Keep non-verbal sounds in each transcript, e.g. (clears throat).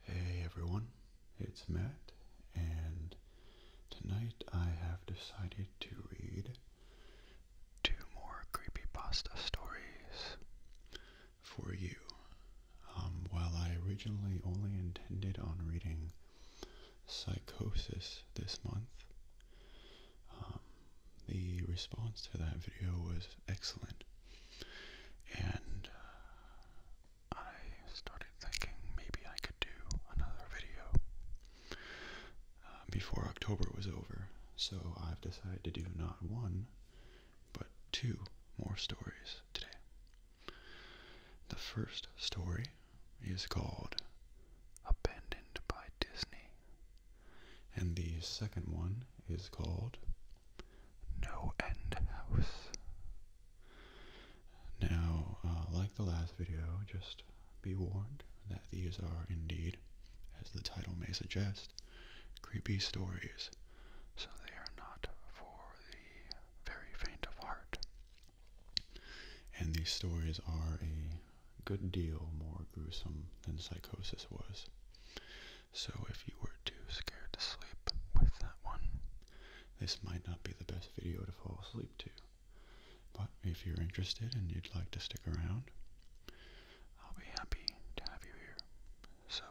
Hey everyone, it's Matt, and tonight I have decided to read two more creepy pasta stories for you. Um, while I originally only intended on reading Psychosis this month, um, the response to that video was excellent. And uh, I started thinking maybe I could do another video uh, before October was over. So I've decided to do not one, but two more stories today. The first story is called Abandoned by Disney. And the second one is called no end house. Now, uh, like the last video, just be warned that these are indeed, as the title may suggest, creepy stories, so they are not for the very faint of heart. And these stories are a good deal more gruesome than Psychosis was. So if you were too scared to sleep with that one, this might not be the best video to fall asleep to. But if you're interested and you'd like to stick around, I'll be happy to have you here. So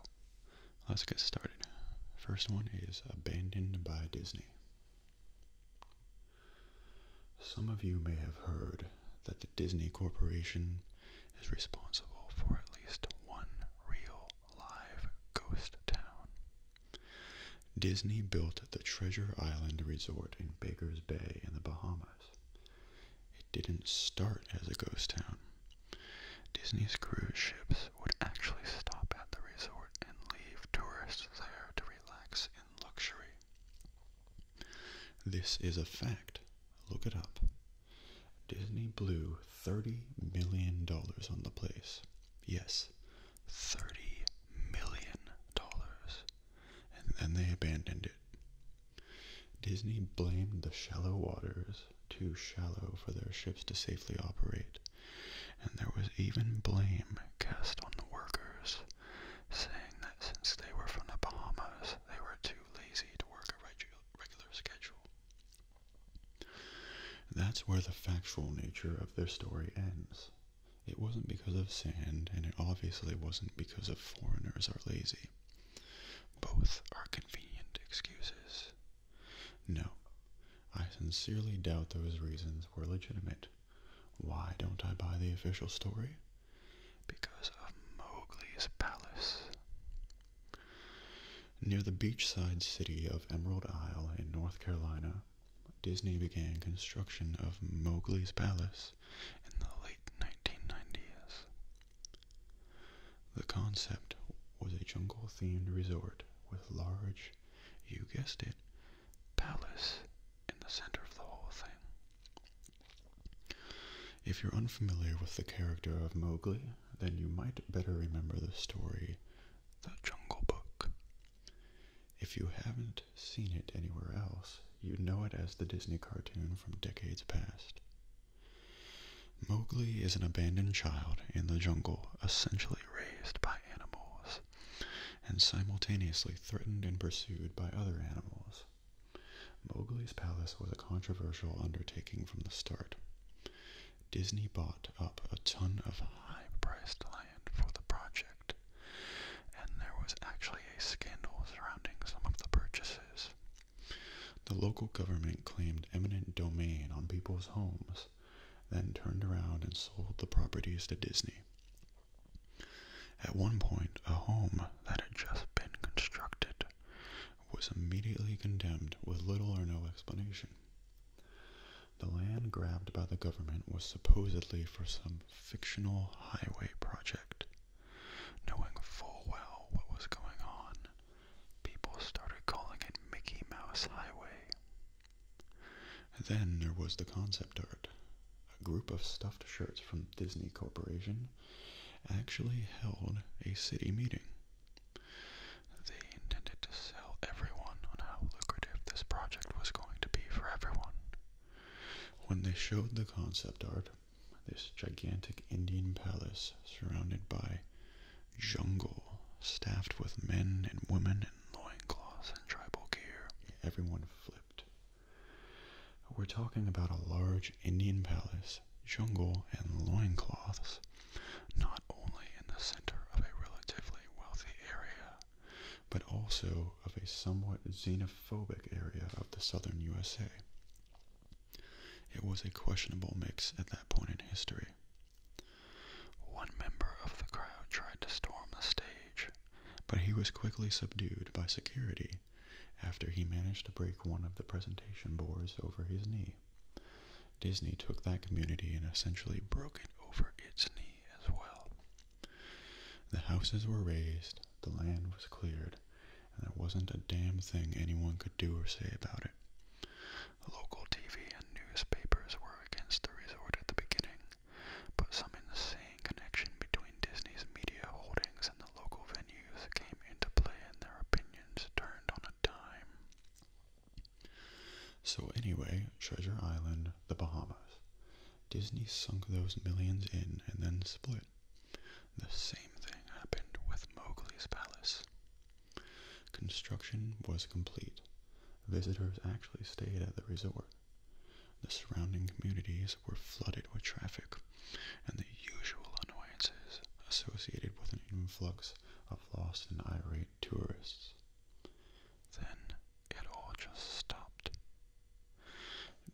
let's get started. First one is Abandoned by Disney. Some of you may have heard that the Disney Corporation is responsible for at least one real live ghost town. Disney built the Treasure Island Resort in Baker's Bay in the Bahamas. It didn't start as a ghost town. Disney's cruise ships would actually stop at the resort and leave tourists there to relax in luxury. This is a fact. Look it up. Disney blew $30 million on the place. Yes, $30 million. And then they abandoned it. Disney blamed the shallow waters, too shallow for their ships to safely operate, and there was even blame cast on the workers, saying that since they were from the Bahamas, they were too lazy to work a regular schedule. That's where the factual nature of their story ends. It wasn't because of sand, and it obviously wasn't because of foreigners are lazy. Both are convenient excuses. No, I sincerely doubt those reasons were legitimate. Why don't I buy the official story? Because of Mowgli's palace. Near the beachside city of Emerald Isle in North Carolina, Disney began construction of Mowgli's Palace in the late 1990s. The concept was a jungle themed resort with large, you guessed it, palace in the center of the whole thing. If you're unfamiliar with the character of Mowgli, then you might better remember the story The Jungle Book. If you haven't seen it anywhere else, you know it as the Disney cartoon from decades past. Mowgli is an abandoned child in the jungle, essentially raised by animals, and simultaneously threatened and pursued by other animals. Mowgli's palace was a controversial undertaking from the start. Disney bought up a ton of high priced land for the project, and there was actually a scandal surrounding some of the purchases. The local government claimed eminent domain on people's homes, then turned around and sold the properties to Disney. At one point, a home that had just been constructed was immediately condemned with little or no explanation. The land grabbed by the government was supposedly for some fictional highway project. Knowing full well what was going on, people started calling it Mickey Mouse Highway. Then there was the concept art. A group of stuffed shirts from Disney Corporation actually held a city meeting they intended to sell everyone on how lucrative this project was going to be for everyone. When they showed the concept art, this gigantic Indian palace surrounded by jungle staffed with men and women in loin cloths and tribal gear, everyone flipped. We're talking about a large Indian palace jungle and loincloths, not only in the center of a relatively wealthy area, but also of a somewhat xenophobic area of the southern USA. It was a questionable mix at that point in history. One member of the crowd tried to storm the stage, but he was quickly subdued by security after he managed to break one of the presentation boards over his knee. Disney took that community and essentially broke it over its knee as well. The houses were razed, the land was cleared, and there wasn't a damn thing anyone could do or say about it. Local TV and newspapers were against the resort at the beginning, but some insane connection between Disney's media holdings and the local venues came into play and their opinions turned on a so, anyway, Treasure Island, the Bahamas. Disney sunk those millions in and then split. The same thing happened with Mowgli's Palace. Construction was complete. Visitors actually stayed at the resort. The surrounding communities were flooded with traffic and the usual annoyances associated with an influx of lost and irate tourists. Then it all just stopped.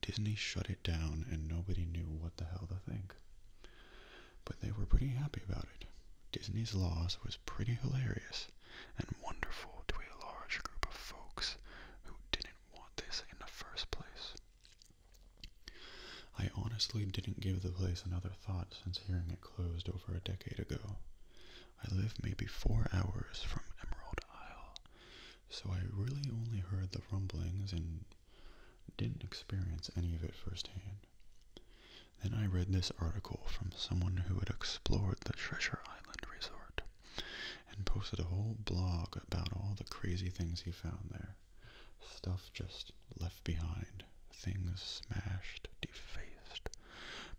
Disney shut it down and nobody knew what the hell to think. But they were pretty happy about it. Disney's loss was pretty hilarious and wonderful to a large group of folks who didn't want this in the first place. I honestly didn't give the place another thought since hearing it closed over a decade ago. I live maybe four hours from Emerald Isle, so I really only heard the rumblings and didn't experience any of it firsthand. Then I read this article from someone who had explored the Treasure Island resort and posted a whole blog about all the crazy things he found there. Stuff just left behind things smashed, defaced,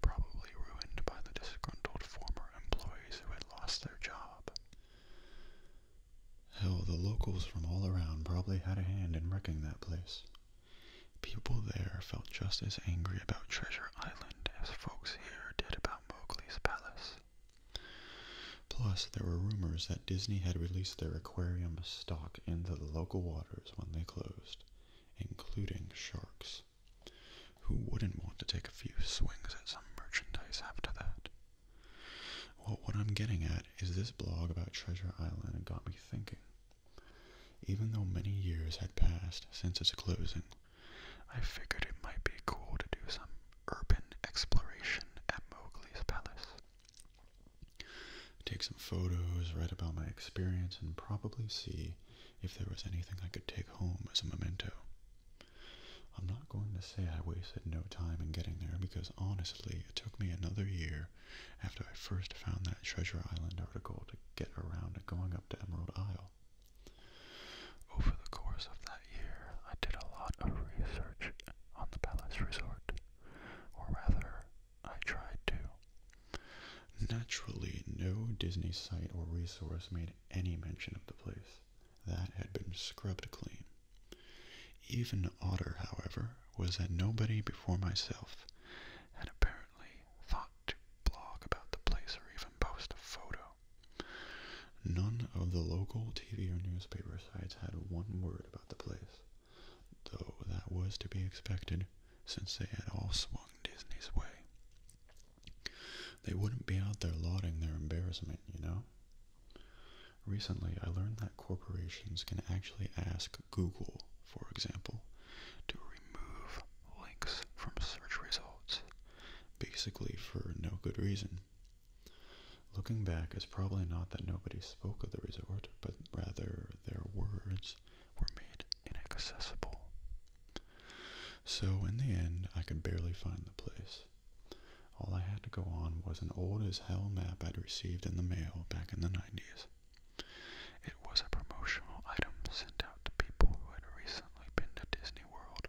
probably ruined by the disgruntled former employees who had lost their job. Hell, the locals from all around probably had a hand in wrecking that place. People there felt just as angry about Treasure Island as folks here did about Mowgli's Palace. Plus, there were rumors that Disney had released their aquarium stock into the local waters when they closed including sharks. Who wouldn't want to take a few swings at some merchandise after that? what I'm getting at is this blog about Treasure Island got me thinking. Even though many years had passed since its closing, I figured it might be cool to do some urban exploration at Mowgli's Palace take some photos, write about my experience, and probably see if there was anything I could take home as a memento. I'm not going to say I wasted no time in getting there because honestly, it took me another year after I first found that Treasure Island article to get around to going up to Emerald Isle. Over the course of that year, I did a lot of research on the Palace Resort, or rather, I tried to. Naturally, no Disney site or resource made any mention of the place. That had been scrubbed clean. Even Otter, however, was that nobody before myself had apparently thought to blog about the place or even post a photo. None of the local TV or newspaper sites had one word about the place though that was to be expected since they had all swung Disney's way. They wouldn't be out there lauding their embarrassment, you know? Recently, I learned that corporations can actually ask Google, for example, to remove links from search results, basically for no good reason. Looking back, it's probably not that nobody spoke of the resort, but rather their words were made inaccessible. So, in the end, I could barely find the place. All I had to go on was an old as hell map I'd received in the mail back in the 90s. It was a promotional item sent out to people who had recently been to Disney World,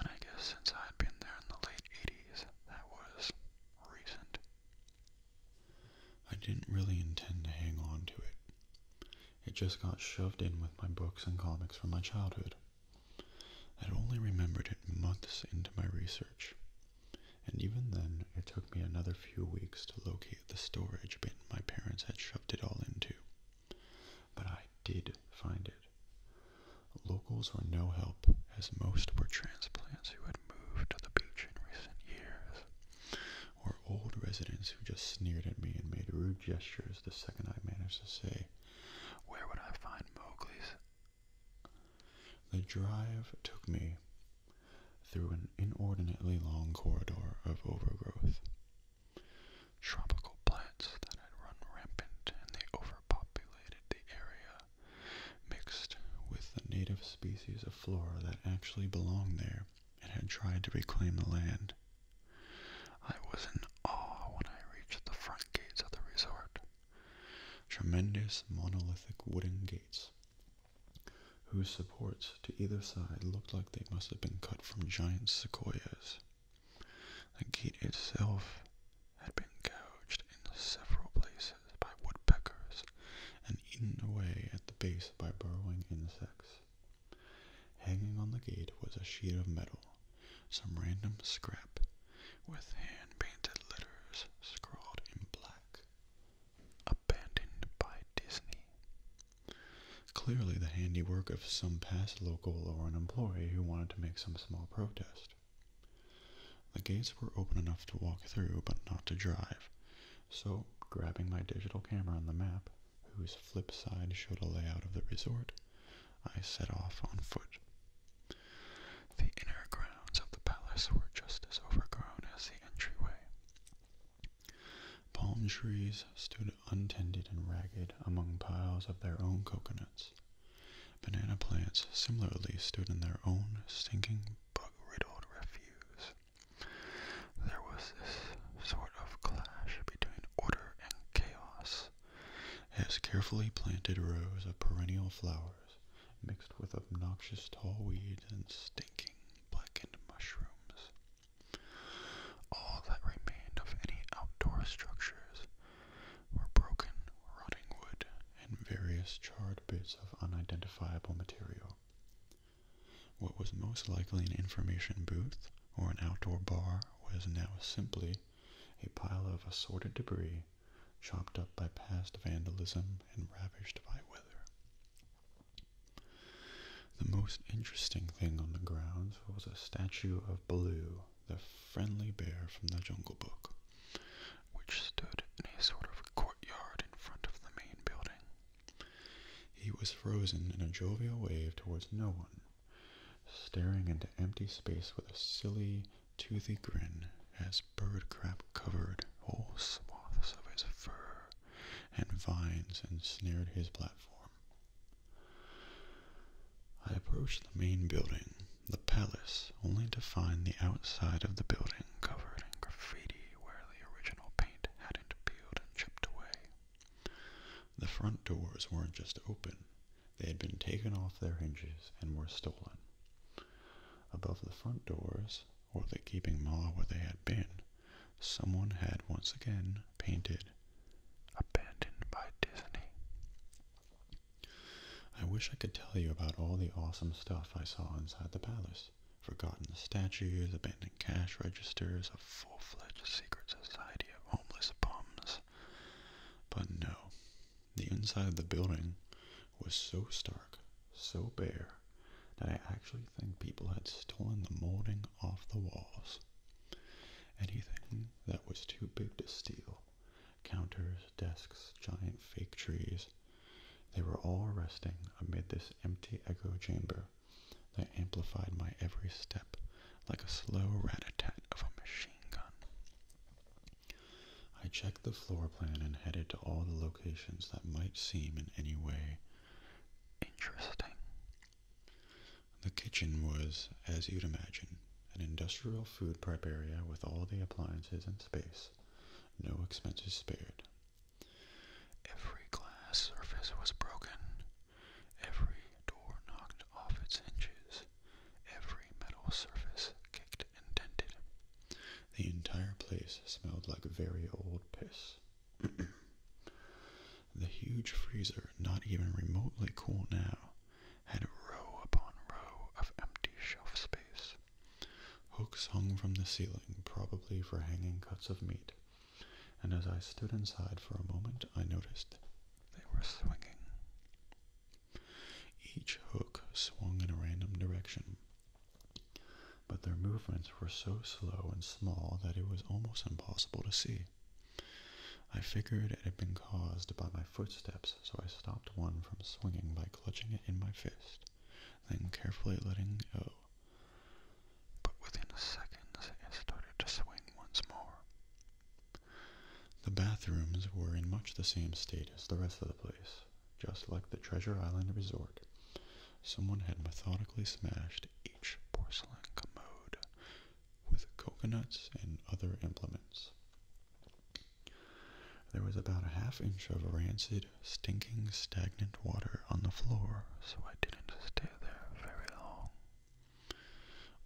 and I guess since I'd been there in the late 80s, that was recent. I didn't really intend to hang on to it. It just got shoved in with my books and comics from my childhood. I'd only remembered it months into my research, and even then it took me another few weeks to locate the storage bin my parents had shoved it all into. But I did find it. Locals were no help, as most were transplants who had moved to the beach in recent years or old residents who just sneered at me and made rude gestures the second I managed to say, Where would I find Mowgli's? The drive took me through an inordinately long corridor of overgrowth. Tropical plants that had run rampant and they overpopulated the area, mixed with the native species of flora that actually belong there and had tried to reclaim the land. I was in awe when I reached the front gates of the resort. Tremendous monolithic wooden gates, whose supports to either side looked like they must have been cut from giant sequoias. The gate itself had been gouged in several places by woodpeckers and eaten away at the base by burrowing insects. Hanging on the gate was a sheet of metal, some random scrap with hand-painted letters scrawled in black. Abandoned by Disney. Clearly the handiwork of some past local or an employee who wanted to make some small protest. The gates were open enough to walk through, but not to drive, so, grabbing my digital camera on the map, whose flip side showed a layout of the resort, I set off on foot. The inner grounds of the palace were just as overgrown as the entryway. Palm trees stood untended and ragged among piles of their own coconuts. Banana plants similarly stood in their own stinking, bug riddled refuse. There was this sort of clash between order and chaos, as carefully planted rows of perennial flowers mixed with obnoxious tall weeds and stinking blackened mushrooms. All that remained of any outdoor structures were broken, rotting wood, and various charred bits of unidentifiable material. What was most likely an information booth or an outdoor bar was now simply a pile of assorted debris chopped up by past vandalism and ravaged by weather. The most interesting thing on the grounds was a statue of Baloo, the friendly bear from the Jungle Book, which stood in a sort of courtyard in front of the main building. He was frozen in a jovial wave towards no one, staring into empty space with a silly, toothy grin as bird crap covered whole swathes of his fur and vines ensnared his platform. I approached the main building, the palace, only to find the outside of the building covered in graffiti where the original paint had starting to and chipped away. The front doors weren't just open, they had been taken off their hinges and were stolen. Above the front doors, or the gaping maw where they had been, someone had once again painted Abandoned by Disney. I wish I could tell you about all the awesome stuff I saw inside the palace, forgotten statues, abandoned cash registers, a full-fledged secret society of homeless bums. But no, the inside of the building was so stark, so bare, that I actually think people had stolen the molding off the walls. Anything that was too big to steal, counters, desks, giant fake trees, they were all resting amid this empty echo chamber pressure amplified my every step like a slow rat-a-tat of a machine gun. I checked the floor plan and headed to all the locations that might seem in any way interesting. The kitchen was, as you'd imagine, an industrial food prep area with all the appliances and space, no expenses spared. Every glass surface was broken, every door knocked off its hinges, every metal surface kicked and dented. The entire place smelled like very old piss. (clears throat) the huge freezer, not even remotely cool now, had row upon row of empty shelf space. Hooks hung from the ceiling, probably for hanging cuts of meat and as I stood inside for a moment, I noticed they were swinging. Each hook swung in a random direction, but their movements were so slow and small that it was almost impossible to see. I figured it had been caused by my footsteps, so I stopped one from swinging by clutching it in my fist, then carefully letting go but within seconds it started to swing once more. The bathrooms were in much the same state as the rest of the place. Just like the Treasure Island Resort, someone had methodically smashed each porcelain commode with coconuts and other implements. There was about a half inch of rancid, stinking, stagnant water on the floor, so I did stay there very long.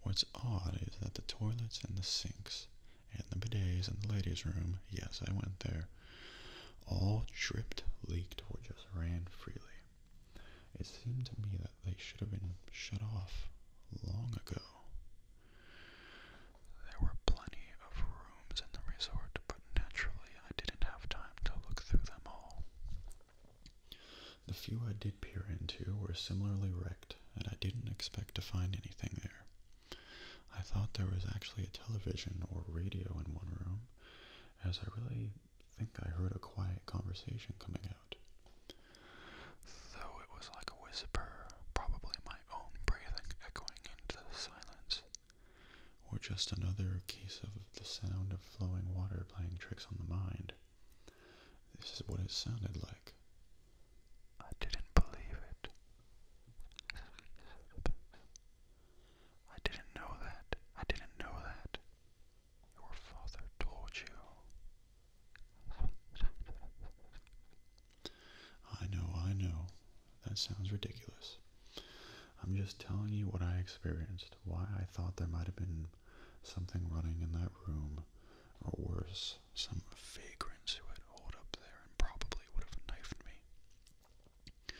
What's odd is that the toilets and the sinks and the bidets and the ladies' room, yes, I went there, all dripped, leaked, or just ran freely. It seemed to me that they should have been shut off long ago. There were plenty of rooms in the resort, but naturally I didn't have time to look through them all. The few I did peer into were similarly wrecked, and I didn't expect to find anything there. I thought there was actually a television or radio in one room, as I really think I heard a quiet conversation coming out. Though it was like a whisper, probably my own breathing echoing into the silence or just another case of the sound of flowing water playing tricks on the mind. This is what it sounded like. I didn't believe it. I didn't know that. I didn't know that. Your father told you. I know, I know. That sounds ridiculous. I'm just telling you what I experienced why I thought there might have been something running in that room, or worse, some vagrants who had holed up there and probably would have knifed me.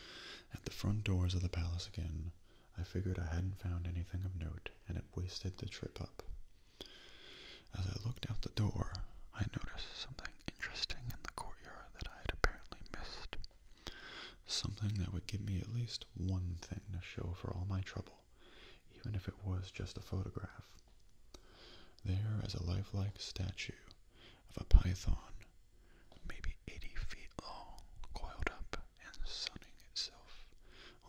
At the front doors of the palace again, I figured I hadn't found anything of note and it wasted the trip up. As I looked out the door, I noticed something interesting in the courtyard that I had apparently missed. Something that would give me at least one thing to show for all my trouble, even if it was just a photograph. There, as a lifelike statue of a python, maybe 80 feet long, coiled up and sunning itself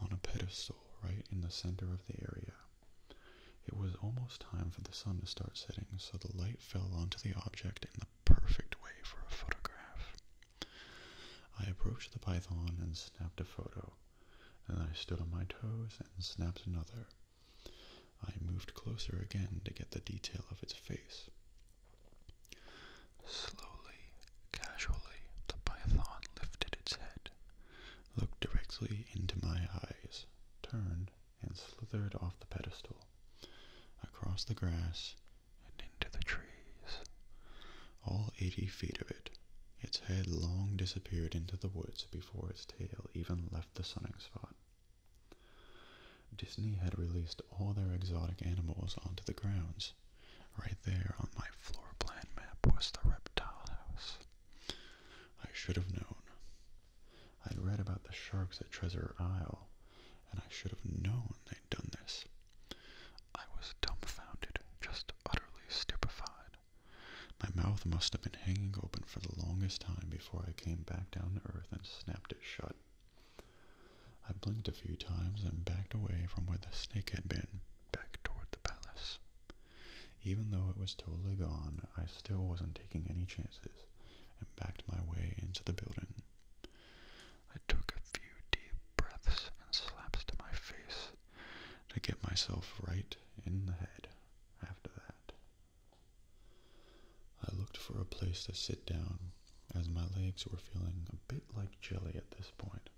on a pedestal right in the center of the area. It was almost time for the sun to start setting, so the light fell onto the object in the perfect way for a photograph. I approached the python and snapped a photo. Then I stood on my toes and snapped another. I moved closer again to get the detail of its face. Slowly, casually, the python lifted its head, looked directly into my eyes, turned, and slithered off the pedestal. Across the grass, and into the trees. All eighty feet of it, its head long disappeared into the woods before its tail even left the sunning spot. Disney had released all their exotic animals onto the grounds. Right there on my floor plan map was the reptile house. I should have known. I'd read about the sharks at Treasure Isle, and I should have known they'd done this. I was dumbfounded, just utterly stupefied. My mouth must have been hanging open for the longest time before I came back down to earth and snapped it shut. I blinked a few times and backed away from where the snake had been, back toward the palace. Even though it was totally gone, I still wasn't taking any chances and backed my way into the building. I took a few deep breaths and slaps to my face to get myself right in the head after that. I looked for a place to sit down as my legs were feeling a bit like jelly at this point.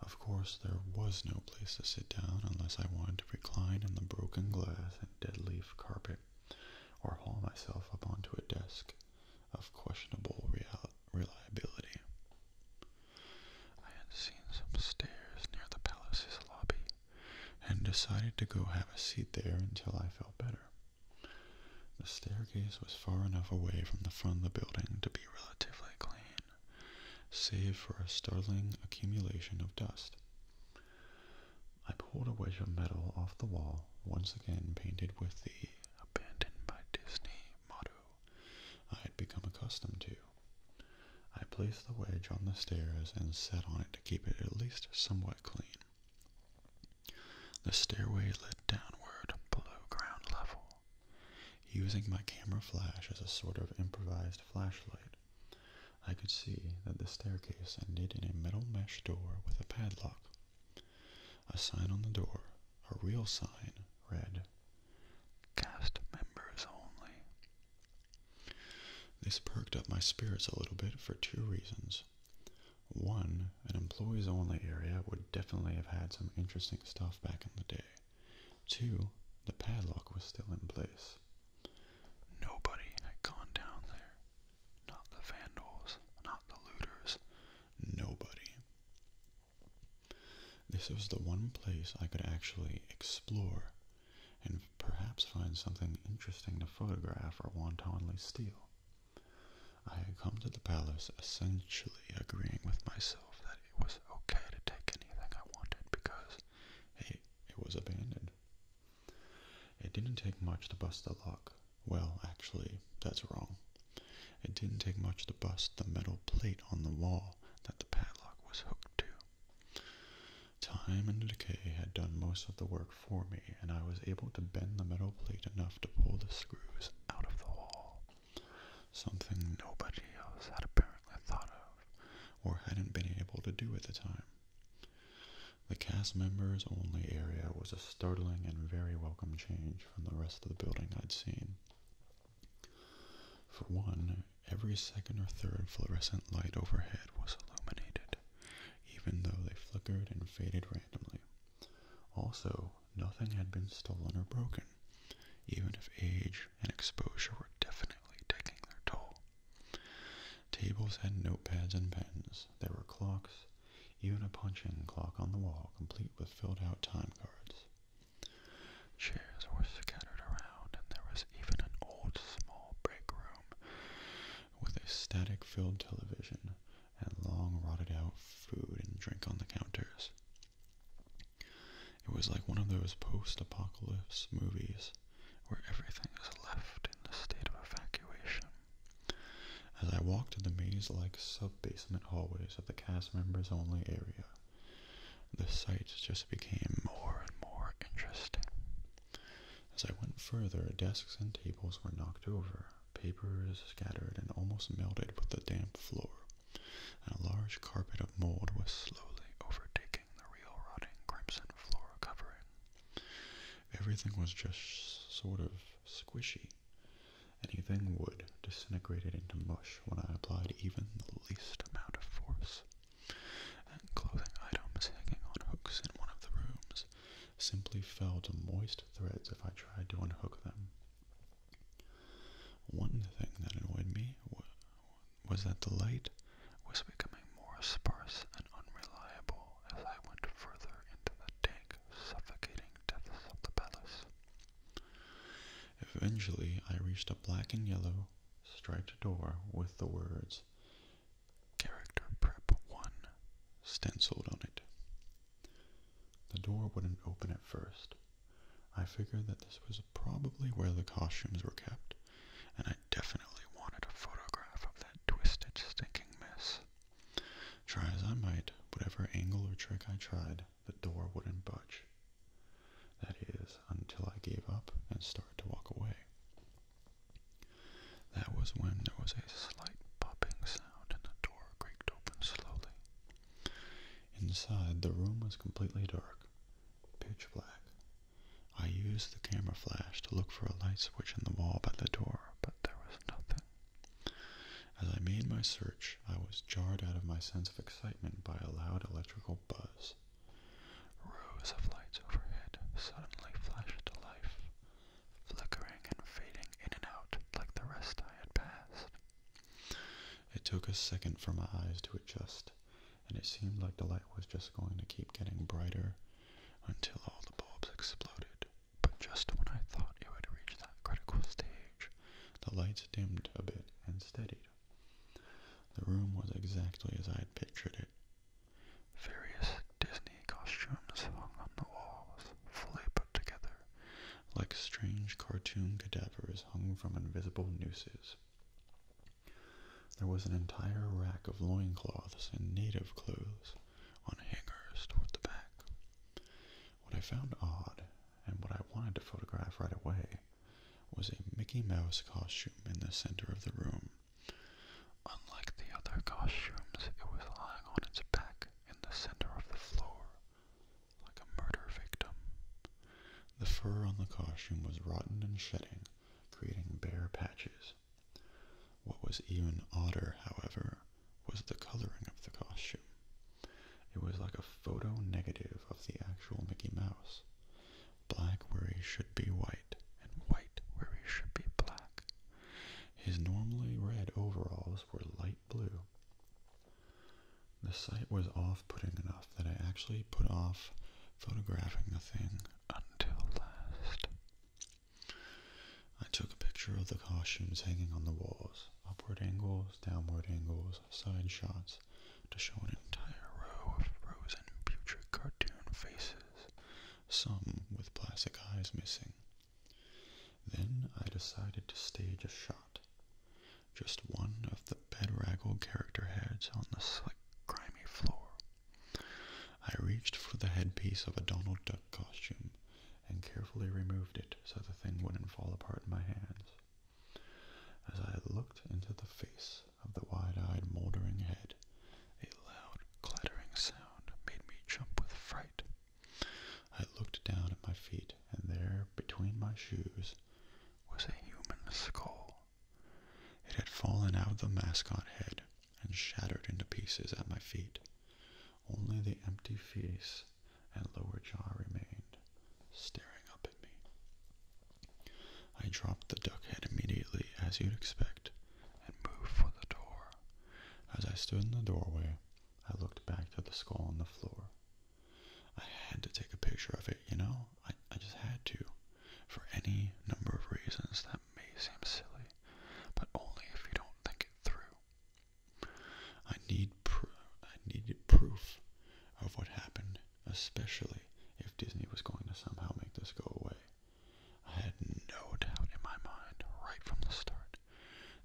Of course, there was no place to sit down unless I wanted to recline on the broken glass and dead leaf carpet or haul myself up onto a desk of questionable reality reliability. I had seen some stairs near the palace's lobby and decided to go have a seat there until I felt better. The staircase was far enough away from the front of the building to be relatively clean, save for a startling accumulation of dust. I pulled a wedge of metal off the wall, once again painted with the abandoned by Disney motto I had become accustomed to. I placed the wedge on the stairs and sat on it to keep it at least somewhat clean. The stairway led downward below ground level. Using my camera flash as a sort of improvised flashlight, I could see that the staircase ended in a metal mesh door with a padlock. A sign on the door, a real sign, read, Cast members only. This perked up my spirits a little bit for two reasons. One, an employees only area would definitely have had some interesting stuff back in the day. Two, the padlock was still in place. Nobody had gone down there. Not the vandals, not the looters. Nobody. This was the one place I could actually explore and perhaps find something interesting to photograph or wantonly steal. I had come to the palace essentially agreeing with myself that it was okay to take anything I wanted because, hey, it was abandoned. It didn't take much to bust the lock, well, actually, that's wrong. It didn't take much to bust the metal plate on the wall that the padlock was hooked to. Time and decay had done most of the work for me, and I was able to bend the metal plate enough to pull the screws out of the wall. Something nobody else had apparently thought of, or hadn't been able to do at the time. The cast members only area was a startling and very welcome change from the rest of the building I'd seen. For one, every second or third fluorescent light overhead was illuminated, even though they flickered and faded randomly. Also, nothing had been stolen or broken, even if age and exposure were definitely taking their toll. Tables had notepads and pens. There were clocks, even a punching clock on the wall complete with filled-out time cards. Chairs were scattered around, and there was even an old small break room with a static-filled television and long rotted-out food and drink on the counters. It was like one of those post-apocalypse movies where everything is left in the state of evacuation. As I walked the maze-like sub basement hallways of the cast members only area. The sight just became more and more interesting. As I went further, desks and tables were knocked over, papers scattered and almost melted with the damp floor, a large carpet of mold was slowly overtaking the real rotting crimson floor covering. Everything was just sort of squishy. Anything would disintegrate into mush when I applied even the least amount of force. And clothing items hanging on hooks in one of the rooms simply fell to moist threads if I tried to unhook them. One thing that annoyed me was that the light was becoming more sparse and unreliable as I went further into the dank, suffocating depths of the palace. Eventually, I reached a black and yellow striped door with the words Character Prep 1 stenciled on it. The door wouldn't open at first. I figured that this was probably where the costumes were kept, and I definitely wanted a photograph of that twisted, stinking mess. Try as I might, whatever angle or trick I tried, the door wouldn't budge. That is, until I gave up and started to walk away. That was when there was a slight popping sound and the door creaked open slowly. Inside, the room was completely dark, pitch black. I used the camera flash to look for a light switch in the wall by the door, but there was nothing. As I made my search, I was jarred out of my sense of excitement by a loud electrical buzz. Rows of lights overhead suddenly flashed to life, flickering and fading in and out like the rest I had passed. It took a second for my eyes to adjust, and it seemed like the light was just going to keep getting brighter until all the bulbs exploded. But just when I thought it would reach that critical stage, the lights dimmed a bit and steadied. The room was exactly as I had pictured it. Various Disney costumes hung on the walls, fully put together, like strange cartoon cadavers hung from invisible nooses. There was an entire rack of loincloths and native clothes on hangers toward the back. What I found odd, and what I wanted to photograph right away, was a Mickey Mouse costume in the center of the room. Unlike the other costumes, it was lying on its back in the center of the floor, like a murder victim. The fur on the costume was rotten and shedding, creating bare patches. What was even odder, however, was the coloring of the costume. It was like a photo negative of the actual Mickey Mouse. Black where he should be white, and white where he should be black. His normally red overalls were light blue. The sight was off putting enough that I actually put off photographing the thing until last. I took a picture of the costumes hanging on the walls, upward angles, downward angles side shots to show an entire row of frozen future cartoon faces, some with plastic eyes missing. Then I decided to stage a shot. Just one of the bedraggle character heads on the slick, grimy floor. I reached for the headpiece of a Donald Duck costume and carefully removed it so the thing wouldn't fall apart in my hands. As I looked into the face of the wide-eyed mouldering head, a loud clattering sound made me jump with fright. I looked down at my feet, and there, between my shoes, was a human skull. It had fallen out of the mascot head and shattered into pieces at my feet. Only the empty face and lower jaw remained, staring up at me. I dropped the duck head immediately, as you'd expect, and moved for the door. As I stood in the doorway, I looked back to the skull on the floor. I had to take a picture of it, you know? I, just had to, for any number of reasons that may seem silly, but only if you don't think it through. I need I needed proof of what happened, especially if Disney was going to somehow make this go away. I had no doubt in my mind right from the start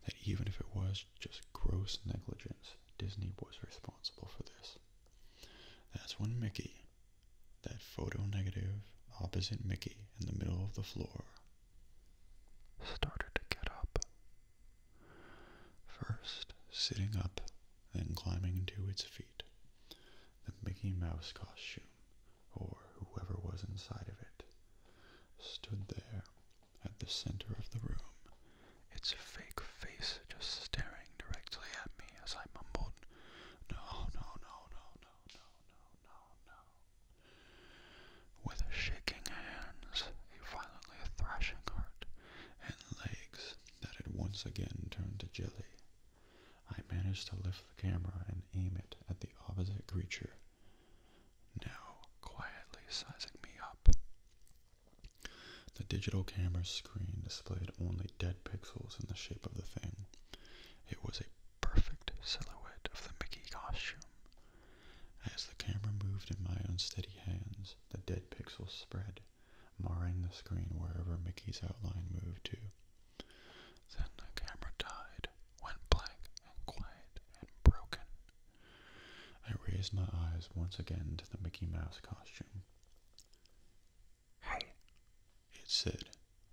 that even if it was just gross negligence, Disney was responsible for this. That's when Mickey, that photo negative opposite Mickey in the middle of the floor, started to get up. First, sitting up, then climbing to its feet, the Mickey Mouse costume, or whoever was inside of it, stood there at the center of the room, its fake face just staring directly at me as I mumbled, No, no, no, no, no, no, no, no, With shaking hands, a violently thrashing heart, and legs that had once again turned to jelly. I managed to lift the camera and aim it at the opposite creature, now quietly sizing me up. The digital camera's screen displayed only dead pixels in the shape of the thing. It was a perfect silhouette of the Mickey costume. As the camera moved in my unsteady hands, the dead pixels spread, marring the screen wherever Mickey's outline moved to. Then the camera died, went blank and quiet and broken. I raised my eyes once again to the Mickey Mouse costume. Hey, it said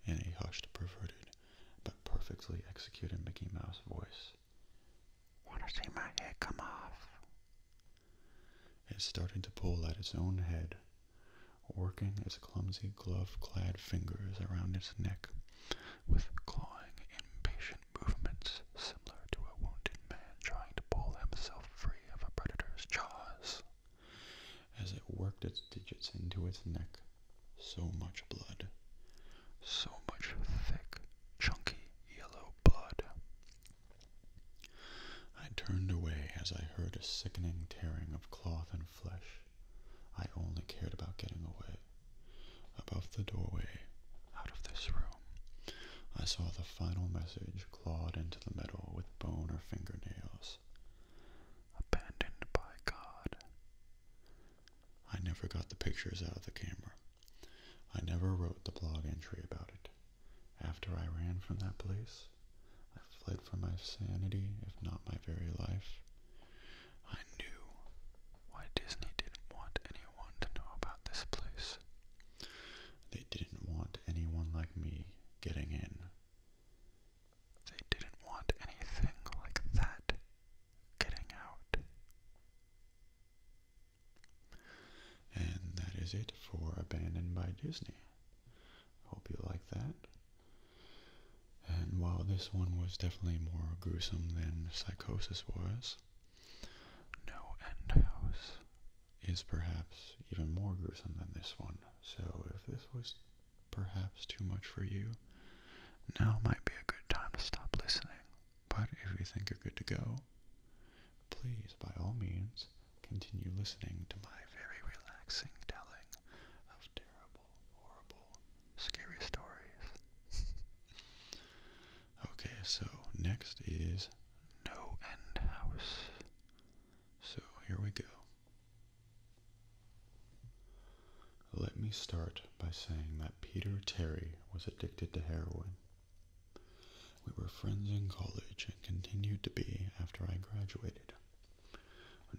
in a hushed, perverted, but perfectly executed Mickey Mouse voice. Want to see my head come off? It's starting to pull at its own head, working its clumsy glove-clad fingers around its neck with clawing, impatient movements similar to a wounded man trying to pull himself free of a predator's jaws. As it worked its digits into its neck, so much blood, so much thick, chunky yellow blood, I turned away as I heard a sickening tearing of cloth and flesh. I only cared about getting away. Above the doorway, out of this room, I saw the final message clawed into the metal with bone or fingernails. Abandoned by God. I never got the pictures out of the camera. I never wrote the blog entry about it. After I ran from that place, I fled for my sanity, if not my very life. I knew why Disney didn't want anyone to know about this place. They didn't want anyone like me getting in. They didn't want anything like that getting out. And that is it for Abandoned by Disney. Hope you like that. And while this one was definitely more gruesome than Psychosis was, No End House is perhaps even more gruesome than this one. So if this was perhaps too much for you, now might be a good time to stop listening. But if you think you're good to go, please, by all means, continue listening to my very relaxing telling of terrible, horrible, scary stories. (laughs) okay, so next is No End House. So here we go. Let me start by saying that Peter Terry was addicted to heroin. We were friends in college and continued to be after I graduated.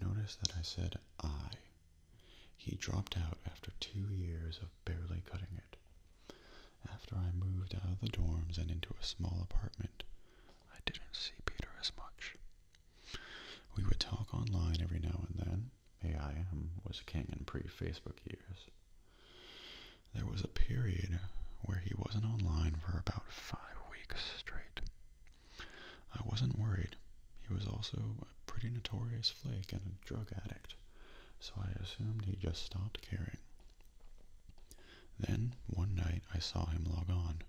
Notice that I said I. He dropped out after two years of barely cutting it. After I moved out of the dorms and into a small apartment, I didn't see Peter as much. We would talk online every now and then. AIM was king in pre-Facebook years. There was a period where he wasn't online for about five weeks straight. I wasn't worried. He was also a pretty notorious flake and a drug addict, so I assumed he just stopped caring. Then, one night, I saw him log on.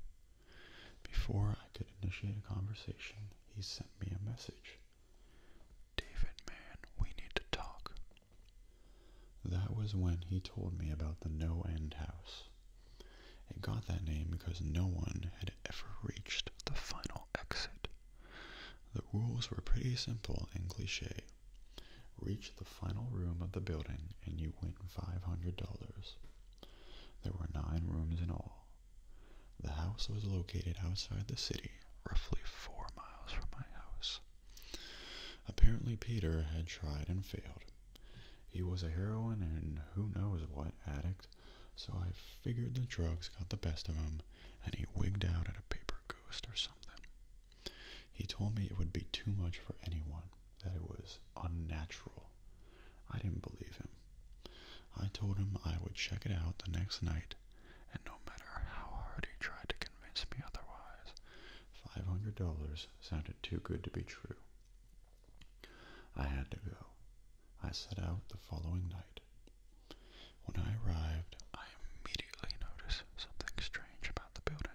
Before I could initiate a conversation, he sent me a message. David, man, we need to talk. That was when he told me about the No End House. It got that name because no one had ever reached the final exit. The rules were pretty simple and cliche. Reach the final room of the building and you win $500. There were nine rooms in all. The house was located outside the city, roughly four miles from my house. Apparently, Peter had tried and failed. He was a heroin and who knows what addict, so I figured the drugs got the best of him and he wigged out at a paper ghost or something. He told me it would be too much for anyone, that it was unnatural. I didn't believe him. I told him I would check it out the next night, and no matter how hard he tried to convince me otherwise, Five hundred dollars sounded too good to be true. I had to go. I set out the following night. When I arrived, I immediately noticed something strange about the building.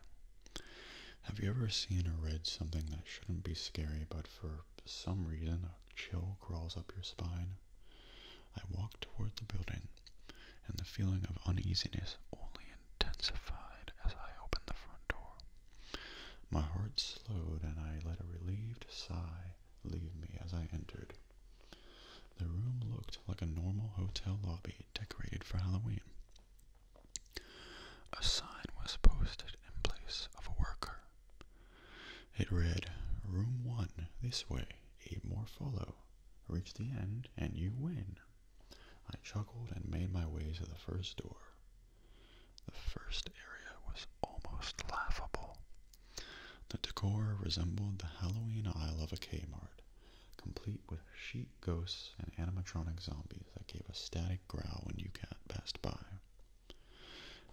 Have you ever seen or read something that shouldn't be scary, but for some reason a chill crawls up your spine? I walked toward the building, and the feeling of uneasiness only intensified as I opened the front door. My heart slowed, and I let a relieved sigh leave me as I entered. The room looked like a normal hotel lobby decorated for Halloween. A sign was posted in place of a worker. It read, Room 1, this way, eight more follow. Reach the end and you win. I chuckled and made my way to the first door. The first area was almost laughable. The decor resembled the Halloween aisle of a Kmart, complete with sheet ghosts and animatronic zombies that gave a static growl when you passed by.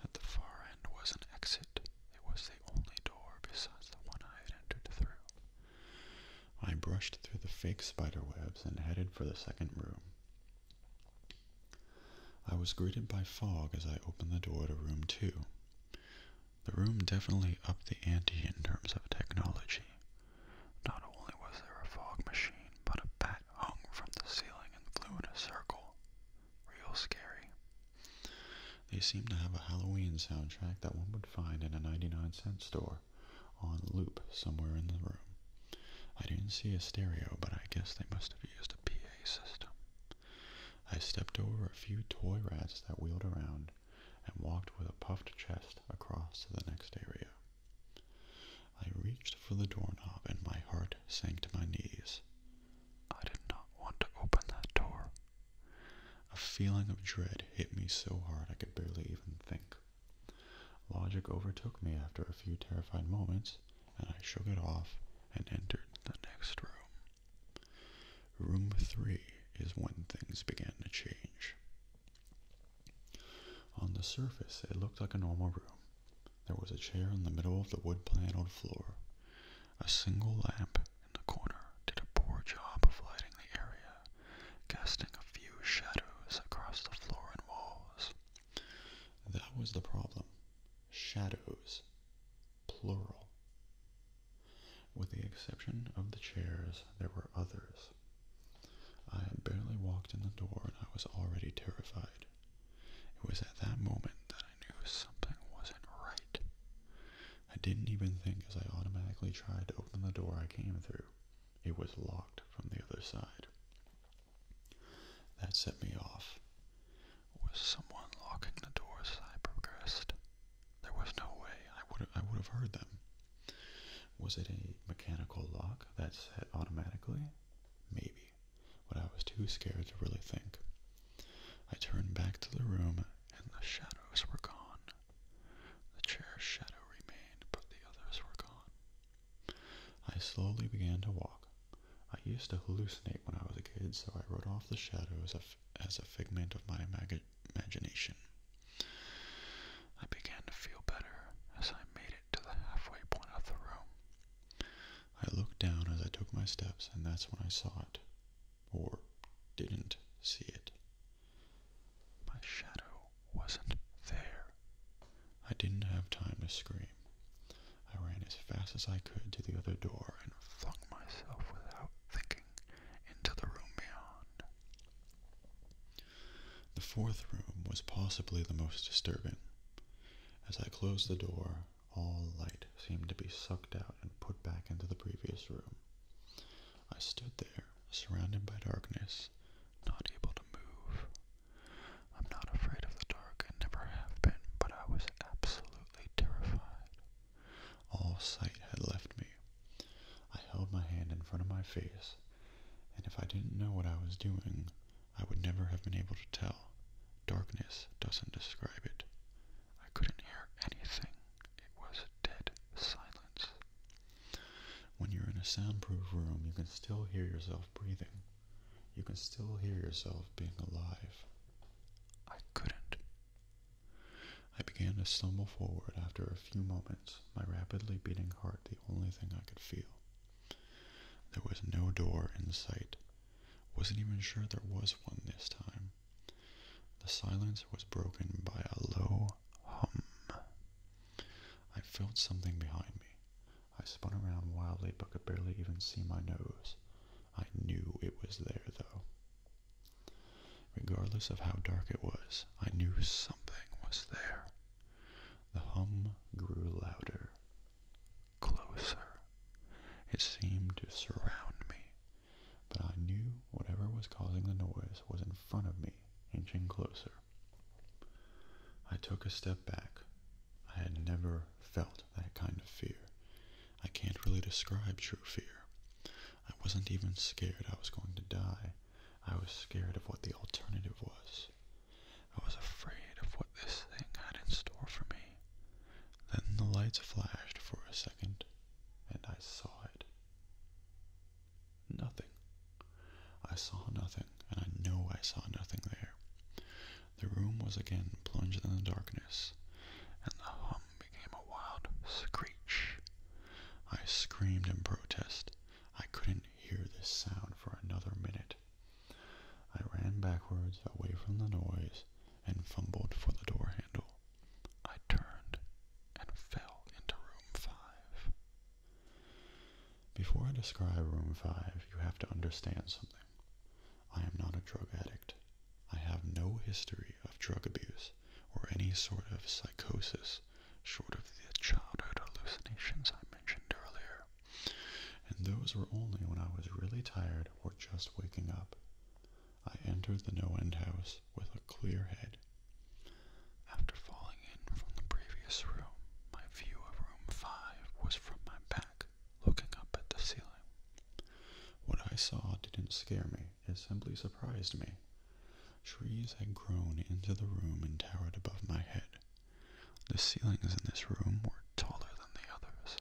At the far end was an exit. It was the only door besides the one I had entered through. I brushed through the fake spiderwebs and headed for the second room. I was greeted by fog as I opened the door to room two. The room definitely upped the ante in terms of technology. Not only was there a fog machine, but a bat hung from the ceiling and flew in a circle. Real scary. They seemed to have a Halloween soundtrack that one would find in a 99 cent store for on loop somewhere in the room. I didn't see a stereo, but I guess they must have used a PA system. I stepped over a few toy rats that wheeled around and walked with a puffed chest across to the next area. I reached for the doorknob and my heart sank to my knees. I did not want to open that door. A feeling of dread hit me so hard I could barely even think logic. overtook me after a few terrified moments, and I shook it off and entered the next room. Room three is when things began to change. On the surface, it looked like a normal room. There was a chair in the middle of the wood paneled floor. A single lamp in the corner did a poor job of lighting the area casting a few shadows across the floor and walls. That was the problem. Shadows. Plural. With the exception of the chairs, there were others. I had barely walked in the door and I was already terrified. It was at that moment that I knew something wasn't right. I didn't even think as I automatically tried to open the door I came through. It was locked from the other side. That set me off. Was someone locking the doors I progressed? There was no way I would I would have heard them. Was it a mechanical lock that set automatically? Maybe, but I was too scared to really think. I turned back to the room and the shadows were gone. The chair's shadow remained, but the others were gone. I slowly began to walk. I used to hallucinate when I was a kid, so I wrote off the shadows as a figment of my imagination. I began to feel better as I made it to the halfway point of the room. I looked down as I took my steps, and that's when I saw it, or didn't see it. My shadow wasn't there. I didn't have time to scream. I ran as fast as I could to the other door and flung myself without thinking into the room beyond. The fourth room was possibly the most disturbing. As I closed the door, all light seemed to be sucked out and put back into the previous room. I stood there, surrounded by darkness, not able to move. I'm not afraid of the dark, and never have been, but I was absolutely terrified. All sight had left me. I held my hand in front of my face, and if I didn't know what I was doing, I would never have been able to tell. Darkness doesn't describe it. I couldn't hear anything. It was dead silence. When you're in a soundproof room, you can still hear yourself breathing. You can still hear yourself being alive. I couldn't. I began to stumble forward after a few moments, my rapidly beating heart the only thing I could feel. There was no door in sight. Wasn't even sure there was one this time. The silence was broken by a low hum. I felt something behind me. I spun around wildly but could barely even see my nose. I knew it was there, though. Regardless of how dark it was, I knew something was there. The hum grew louder, closer. It seemed to surround me, but I knew whatever was causing the noise was in front of me, inching closer. I took a step back. I had never felt that kind of fear. I can't really describe true fear. I wasn't even scared I was going to die. I was scared of what the alternative was. I was afraid of what this thing had in store for me. Then the lights flashed for a second, and I saw it. Nothing. I saw nothing, and I know I saw nothing there. The room was again plunged in the darkness, and the hum became a wild screech. I screamed in protest. I couldn't hear this sound for another minute. I ran backwards away from the noise and fumbled for the door handle. I turned and fell into room five. Before I describe Room 5, you have to understand something. I am not a drug addict. I have no history of drug abuse or any sort of psychosis, short of the childhood hallucinations I mentioned earlier. And those were only when I was really tired or just waking up. I entered the no end house with a clear head after falling in from the previous room, my view of room 5 was from my back, looking up at the ceiling. What I saw didn't scare me, it simply surprised me. Trees had grown into the room and towered above my head. The ceilings in this room were taller than the others,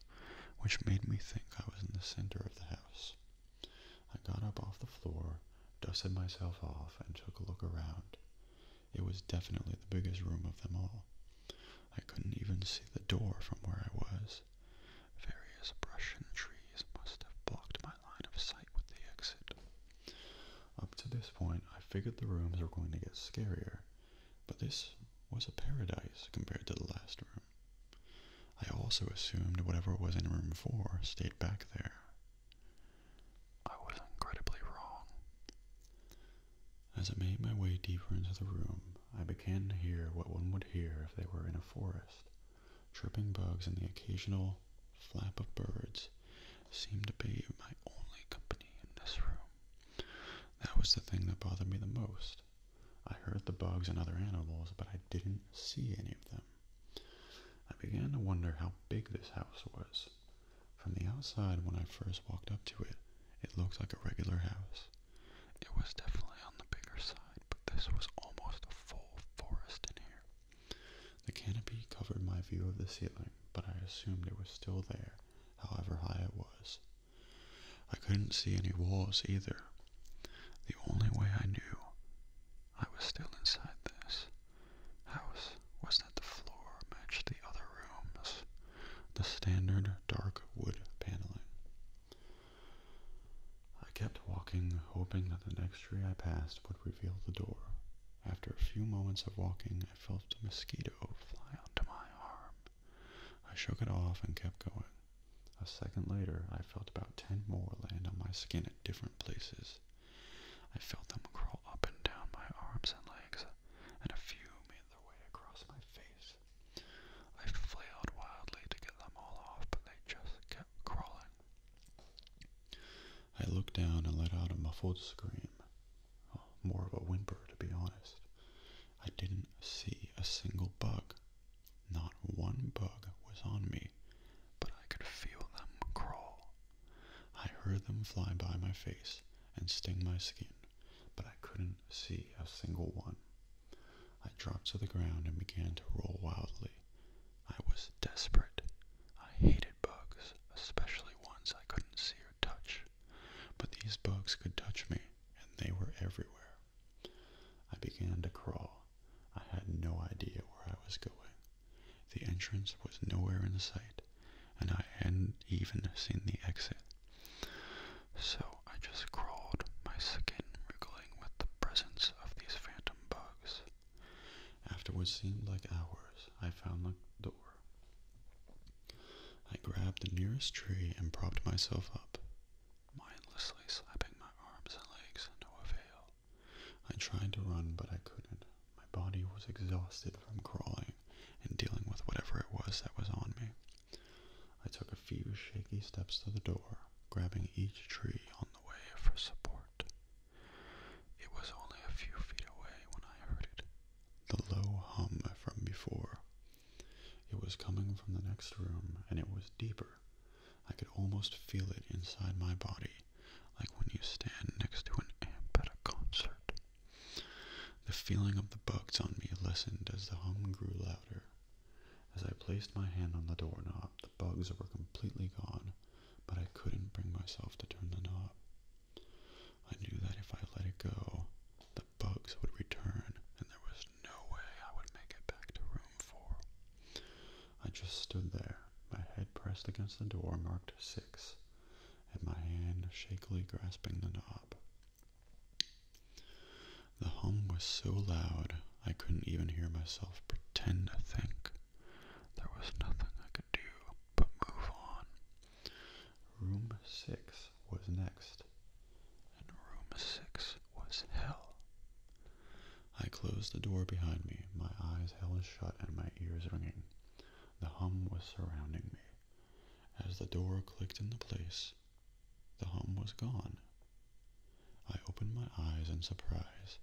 which made me think I was in the center of the house. I got up off the floor, dusted myself off, and took a look around. It was definitely the biggest room of them all. I couldn't even see the door from where I was. Various brush and trees must have blocked my line of sight with the exit. Up to this point, I figured the rooms were going to get scarier, but this was a paradise compared to the last room. I also assumed whatever was in room 4 stayed back there. I was incredibly wrong. As I made my way deeper into the room, I began to hear what one would hear if they were in a forest. Chirping bugs and the occasional flap of birds seemed to be my only company in this room. That was the thing that bothered me the most. I heard the bugs and other animals, but I didn't see any of them. I began to wonder how big this house was. From the outside, when I first walked up to it, it looked like a regular house. It was definitely on the bigger side, but this was almost a full forest in here. The canopy covered my view of the ceiling, but I assumed it was still there, however high it was. I couldn't see any walls either. The only way I knew I was still inside this house was that the floor matched the other rooms, the standard dark wood paneling. I kept walking, hoping that the next tree I passed would reveal the door. After a few moments of walking, I felt a mosquito fly onto my arm. I shook it off and kept going. A second later, I felt about ten more land on my skin at different places. I felt them crawl up and down my arms and legs, and a few made their way across my face. I flailed wildly to get them all off, but they just kept crawling. I looked down and let out a muffled scream. Uh, more of a whimper, to be honest. I didn't see a single bug. Not one bug was on me, but I could feel them crawl I heard them fly by my face and sting my skin, but I couldn't see a single one. I dropped to the ground and began to roll wildly. I was desperate. I hated bugs, especially ones I couldn't see or touch. But these bugs could touch me, and they were everywhere. I began to crawl. I had no idea where I was going. The entrance was nowhere in sight, and I hadn't even seen the exit. So I just crawled, my skin wriggling with the presence of these phantom bugs. After what seemed like hours, I found the door. I grabbed the nearest tree and propped myself up, mindlessly slapping my arms and legs, no avail. I tried to run, but I couldn't. My body was exhausted from crawling and dealing with whatever it was that was on me. I took a few shaky steps to the door, grabbing each tree on the way for support. It was only a few feet away when I heard it the low hum from before. It was coming from the next room, and it was deeper. I could almost feel it inside my body like when you stand next to an amp at a concert. The feeling of the bugs on me lessened as the hum grew louder. As I placed my hand on the doorknob, the bugs were completely gone, but I couldn't bring myself to turn the knob. I knew that if I let it go, the bugs would return, and there was no way I would make it back to room four. I just stood there, my head pressed against the door marked six, and my hand shakily grasping the knob. The hum was so loud I couldn't even hear myself pretend to think. There was nothing I could do but move on. Room 6 was next, and room 6 was hell. I closed the door behind me, my eyes held shut and my ears ringing. The hum was surrounding me. As the door clicked into place, the hum was gone. I opened my eyes in surprise,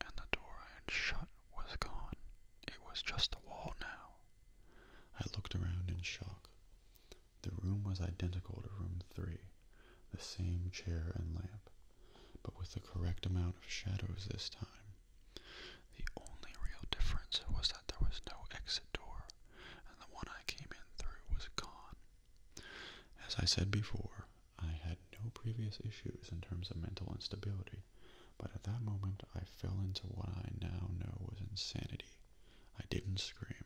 and the door I had shut was gone. It was just a wall now. I looked around in shock. The room was identical to room three, the same chair and lamp, but with the correct amount of shadows this time. The only real difference was that there was no exit door, and the one I came in through was gone. As I said before, I had no previous issues in terms of mental instability, but at that moment I fell into what I now know was insanity. I didn't scream.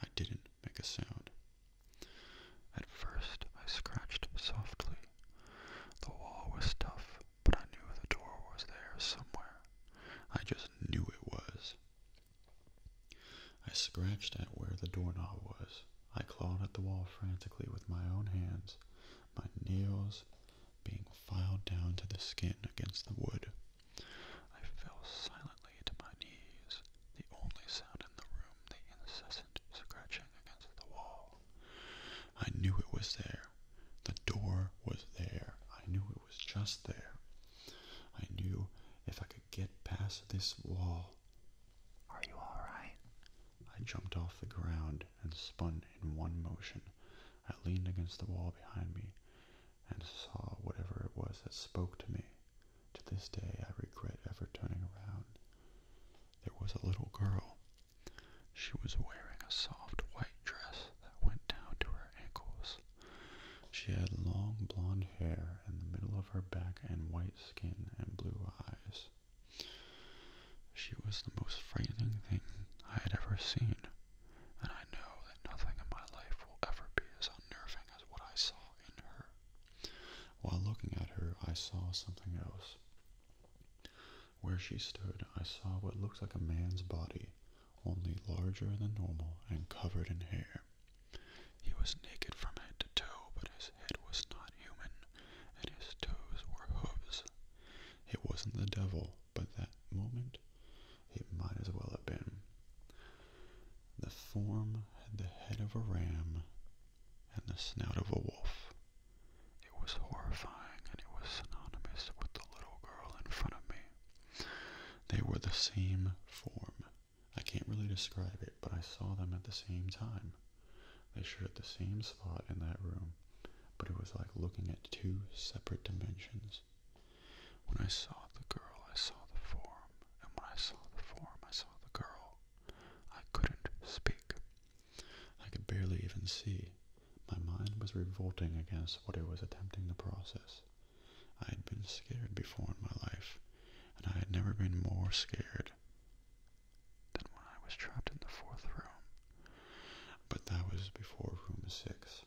I didn't make a sound. At first, I scratched softly. The wall was tough, but I knew the door was there somewhere. I just knew it was. I scratched at where the doorknob was. I clawed at the wall frantically with my own hands, my nails being filed down to the skin against the wood. I fell silently to my knees, the only sound in the room the incessant scratching against the wall. I knew it was there. The door was there. I knew it was just there. I knew if I could get past this wall. Are you alright? I jumped off the ground and spun in one motion. I leaned against the wall behind me and saw whatever it was that spoke to me. To this day, I regret ever turning around there was a little girl. She was wearing a soft white dress that went down to her ankles. She had long blonde hair in the middle of her back and white skin and blue eyes. She was the most frightening thing I had ever seen, and I know that nothing in my life will ever be as unnerving as what I saw in her. While looking at her, I saw something else. Where she stood, I saw what looked like a man's body, only larger than normal and covered in hair. He was naked from head to toe, but his head was not human, and his toes were hooves. It wasn't the devil, but that moment it might as well have been. The form had the head of a ram and the snout of a wolf. It was horrifying, and it was synonymous with the little girl in front of me. They were the same form. I can't really describe it, but I saw them at the same time. They shared the same spot in that room, but it was like looking at two separate dimensions. When I saw the girl, I saw the form, and when I saw the form, I saw the girl. I couldn't speak. I could barely even see. My mind was revolting against what it was attempting to process. I had been scared before in my life, and I had never been more scared than when I was trapped in the fourth room. But that was before room six.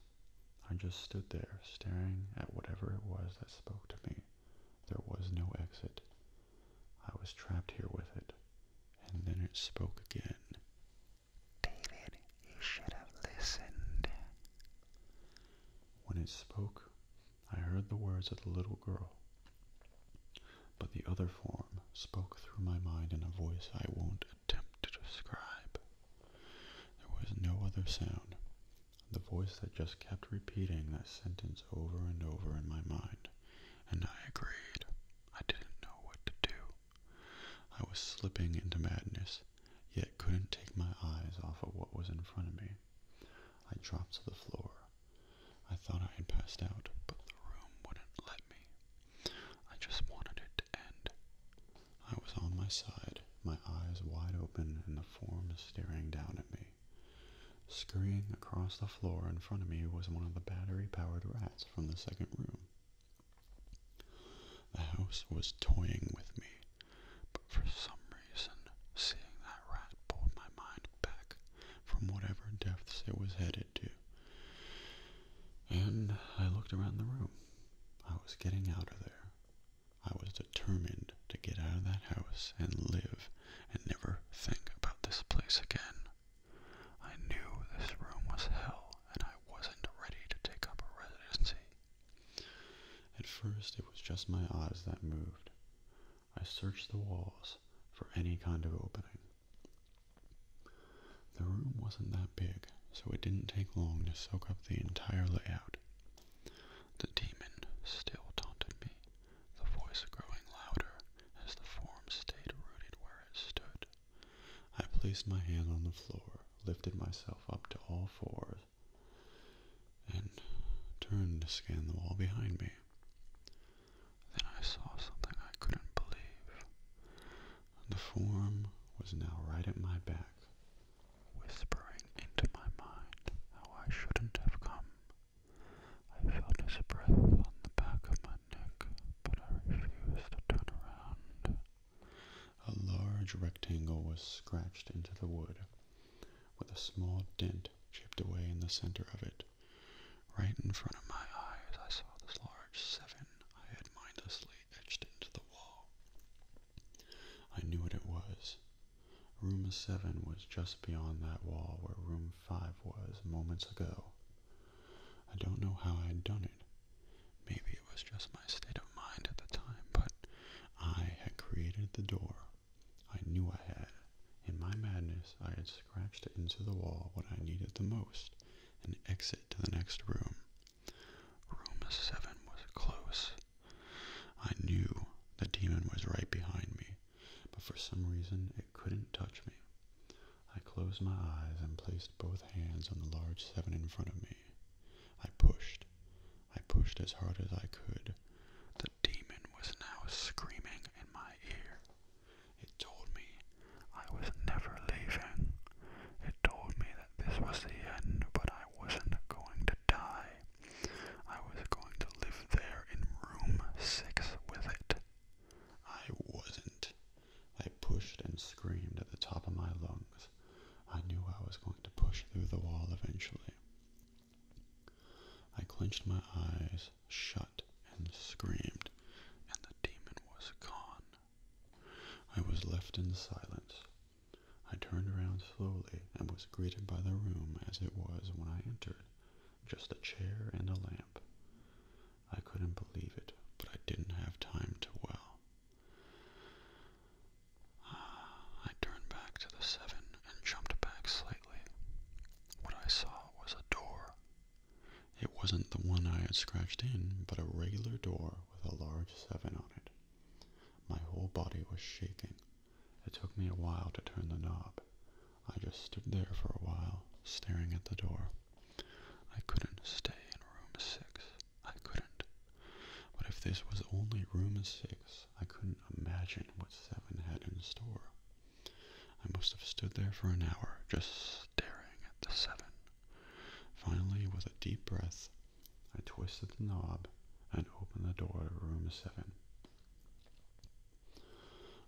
I just stood there, staring at whatever it was that spoke to me. There was no exit. I was trapped here with it. And then it spoke again. David, you should have listened. When it spoke, I heard the words of the little girl, but the other form spoke through my mind in a voice I won't attempt to describe. There was no other sound. The voice that just kept repeating that sentence over and over in my mind, and I agreed. I didn't know what to do. I was slipping into madness, yet couldn't take my eyes off of what was in front of me. I dropped to the floor. I thought I had passed out, but the room wouldn't let me. I just wanted it to end. I was on my side, my eyes wide open, and the form staring down at me. Scurrying across the floor in front of me was one of the battery powered rats from the second room. The house was toying with me, but for some reason, seeing that rat pulled my mind back from whatever depths it was headed to. And I looked around the room. I was getting out of there. I was determined to get out of that house and live and never think about this place again. I knew this room was hell, and I wasn't ready to take up a residency. At first, it was just my eyes that moved. I searched the walls for any kind of opening. The room wasn't that big, so it didn't take long to soak up the entire layout. The demon still taunted me, the voice growing louder as the form stayed rooted where it stood. I placed my hand on the floor, lifted myself up to all fours, and turned to scan the wall behind me. Then I saw something I couldn't believe. The form was now right at my back, whispering into my mind how I shouldn't have come. I felt his breath on the back of my neck but I refused to turn around. A large rectangle was scratched into the wood, with a small dent chipped away in the center of it. Right in front of my eyes, I saw this large seven I had mindlessly etched into the wall. I knew what it was. Room 7 was just beyond that wall where room 5 was moments ago. I don't know how I had done it, Maybe it was just my state of mind at the time, but I had created the door. I knew I had. In my madness, I had scratched into the wall what I needed the most an exit to the next room. Room 7 was close. I knew the demon was right behind me, but for some reason it couldn't touch me. I closed my eyes and placed both hands on the large seven in front of me. I pushed. I pushed as hard as I could. The demon was now screaming in my ear. It told me I was never leaving. It told me that this was the end, but I wasn't going to die. I was going to live there in room six with it. I wasn't. I pushed and screamed at the top of my lungs. I knew I was going to push through the wall eventually. I clenched my eyes shut and screamed, and the demon was gone. I was left in silence. I turned around slowly and was greeted by the room as it was when I entered, just a chair and a lamp. I couldn't believe it, but I didn't have time to well. Ah, I turned back to the seven and jumped back slightly. What I saw was a door. It wasn't the one I had scratched in, but a regular door with a large seven on it. My whole body was shaking. It took me a while to turn the knob. I just stood there for a while, staring at the door. I couldn't stay in room six. I couldn't. But if this was only room six, I couldn't imagine what seven had in store. I must have stood there for an hour, just staring at the seven. Finally, with a deep breath, I twisted the knob and opened the door to room seven.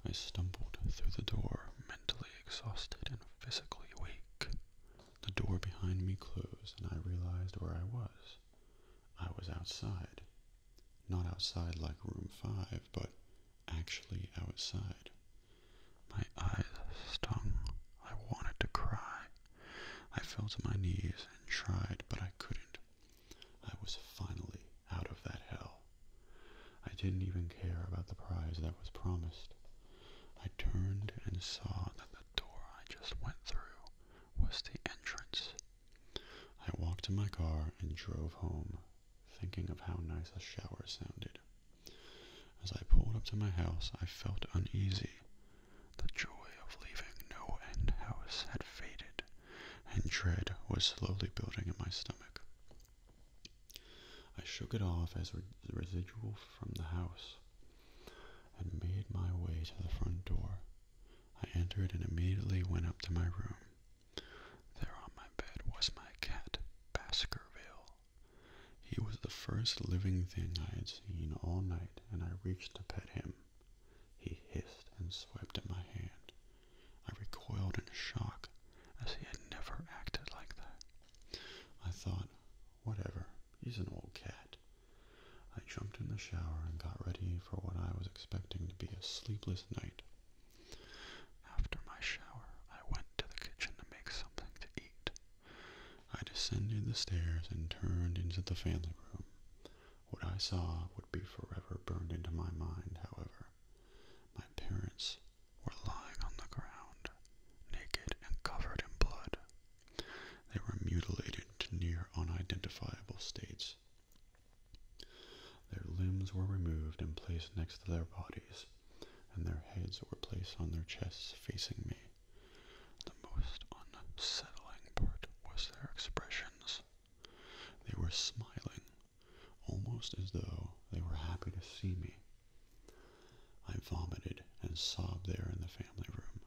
I stumbled through the door, mentally exhausted and physically weak. The door behind me closed, and I realized where I was. I was outside. Not outside like room five, but actually outside. My eyes stung. I wanted to cry. I fell to my knees and tried, but I couldn't. I was finally out of that hell. I didn't even care about the prize that was promised. I turned and saw that the door I just went through was the entrance. I walked to my car and drove home, thinking of how nice a shower sounded. As I pulled up to my house, I felt uneasy. The joy of leaving No End House had faded, and dread was slowly building in my stomach. I shook it off as re residual from the house and made my way to the front door. I entered and immediately went up to my room. There on my bed was my cat, Baskerville. He was the first living thing I had seen all night, and I reached to pet him. He hissed and swept at my hand. I recoiled in shock, as he had never acted like that. I thought, Whatever, he's an old cat. I jumped in the shower and got ready for what I was expecting to be a sleepless night. After my shower, I went to the kitchen to make something to eat. I descended the stairs and turned into the family room. What I saw would be forever burned into my mind, however. My parents were lying on the ground, naked and covered in blood. They were mutilated to near unidentifiable states. Their limbs were removed and placed next to their bodies, and their heads were placed on their chests facing me. The most unsettling part was their expressions. They were smiling, almost as though they were happy to see me, I vomited and sobbed there in the family room.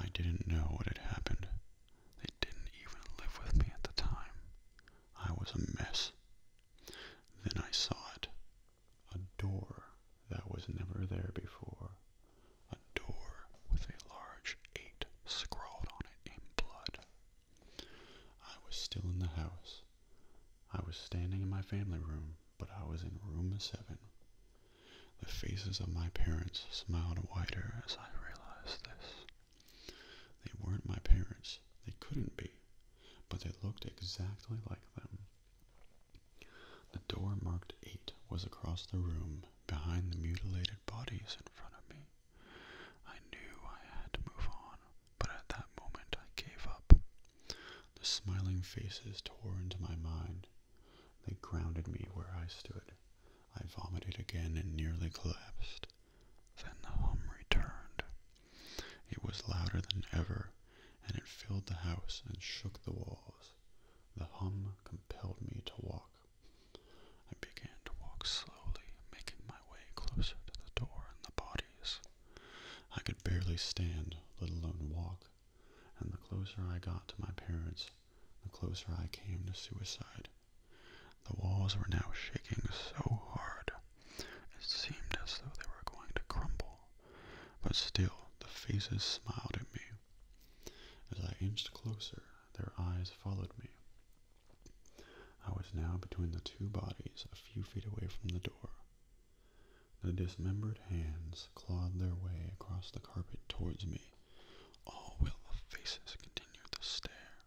I didn't know what had happened. They didn't even live with me at the time. I was a mess. Then I saw it. A door that was never there before. A door with a large eight scrawled on it in blood. I was still in the house. I was standing in my family room but I was in room seven. The faces of my parents smiled wider as I realized this. They weren't my parents. They couldn't be. But they looked exactly like them. The door marked eight was across the room, behind the mutilated bodies in front of me. I knew I had to move on, but at that moment I gave up. The smiling faces tore into my mind. They grounded me where I stood. I vomited again and nearly collapsed. Then the hum returned. It was louder than ever, and it filled the house and shook the walls. The hum compelled me to walk. I began to walk slowly, making my way closer to the door and the bodies. I could barely stand, let alone walk, and the closer I got to my parents, the closer I came to suicide. The walls were now shaking so hard, it seemed as though they were going to crumble, but still the faces smiled at me. As I inched closer, their eyes followed me. I was now between the two bodies a few feet away from the door. The dismembered hands clawed their way across the carpet towards me, all while the faces continued to stare.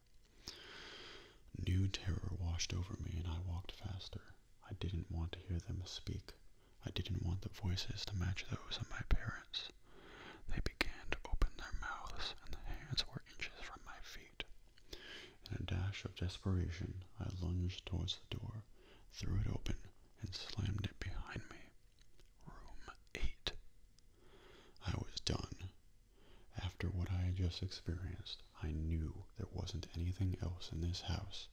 New terror washed over me, and I walked faster. I didn't want to hear them speak. I didn't want the voices to match those of my parents. They began to open their mouths, and the hands were inches from my feet. In a dash of desperation, I lunged towards the door, threw it open, and slammed it behind me. Room 8. I was done. After what I had just experienced, I knew there wasn't anything else in this house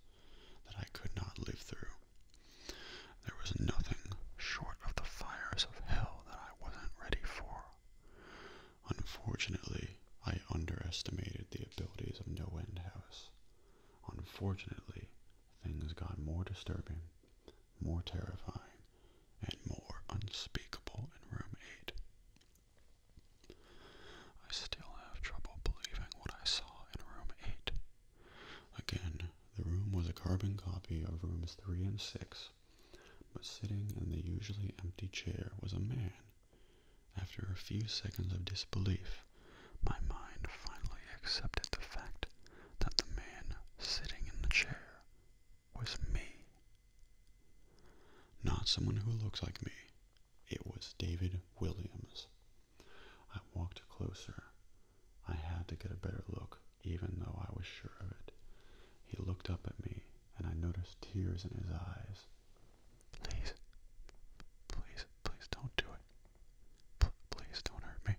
that I could not live through. There was nothing short of the fires of hell that I wasn't ready for. Unfortunately, I underestimated the abilities of No End House. Unfortunately, things got more disturbing, more terrifying, and more unspeakable in room 8. I still have trouble believing what I saw in room 8. Again, the room was a carbon copy of rooms 3 and 6, but sitting in the usually empty chair was a man. After a few seconds of disbelief, my mind finally accepted the fact that the man sitting in the chair was me. Not someone who looks like me. It was David Williams. I walked closer. I had to get a better look, even though I was sure of it. He looked up at me, and I noticed tears in his eyes. Please, please, please don't do please don't hurt me.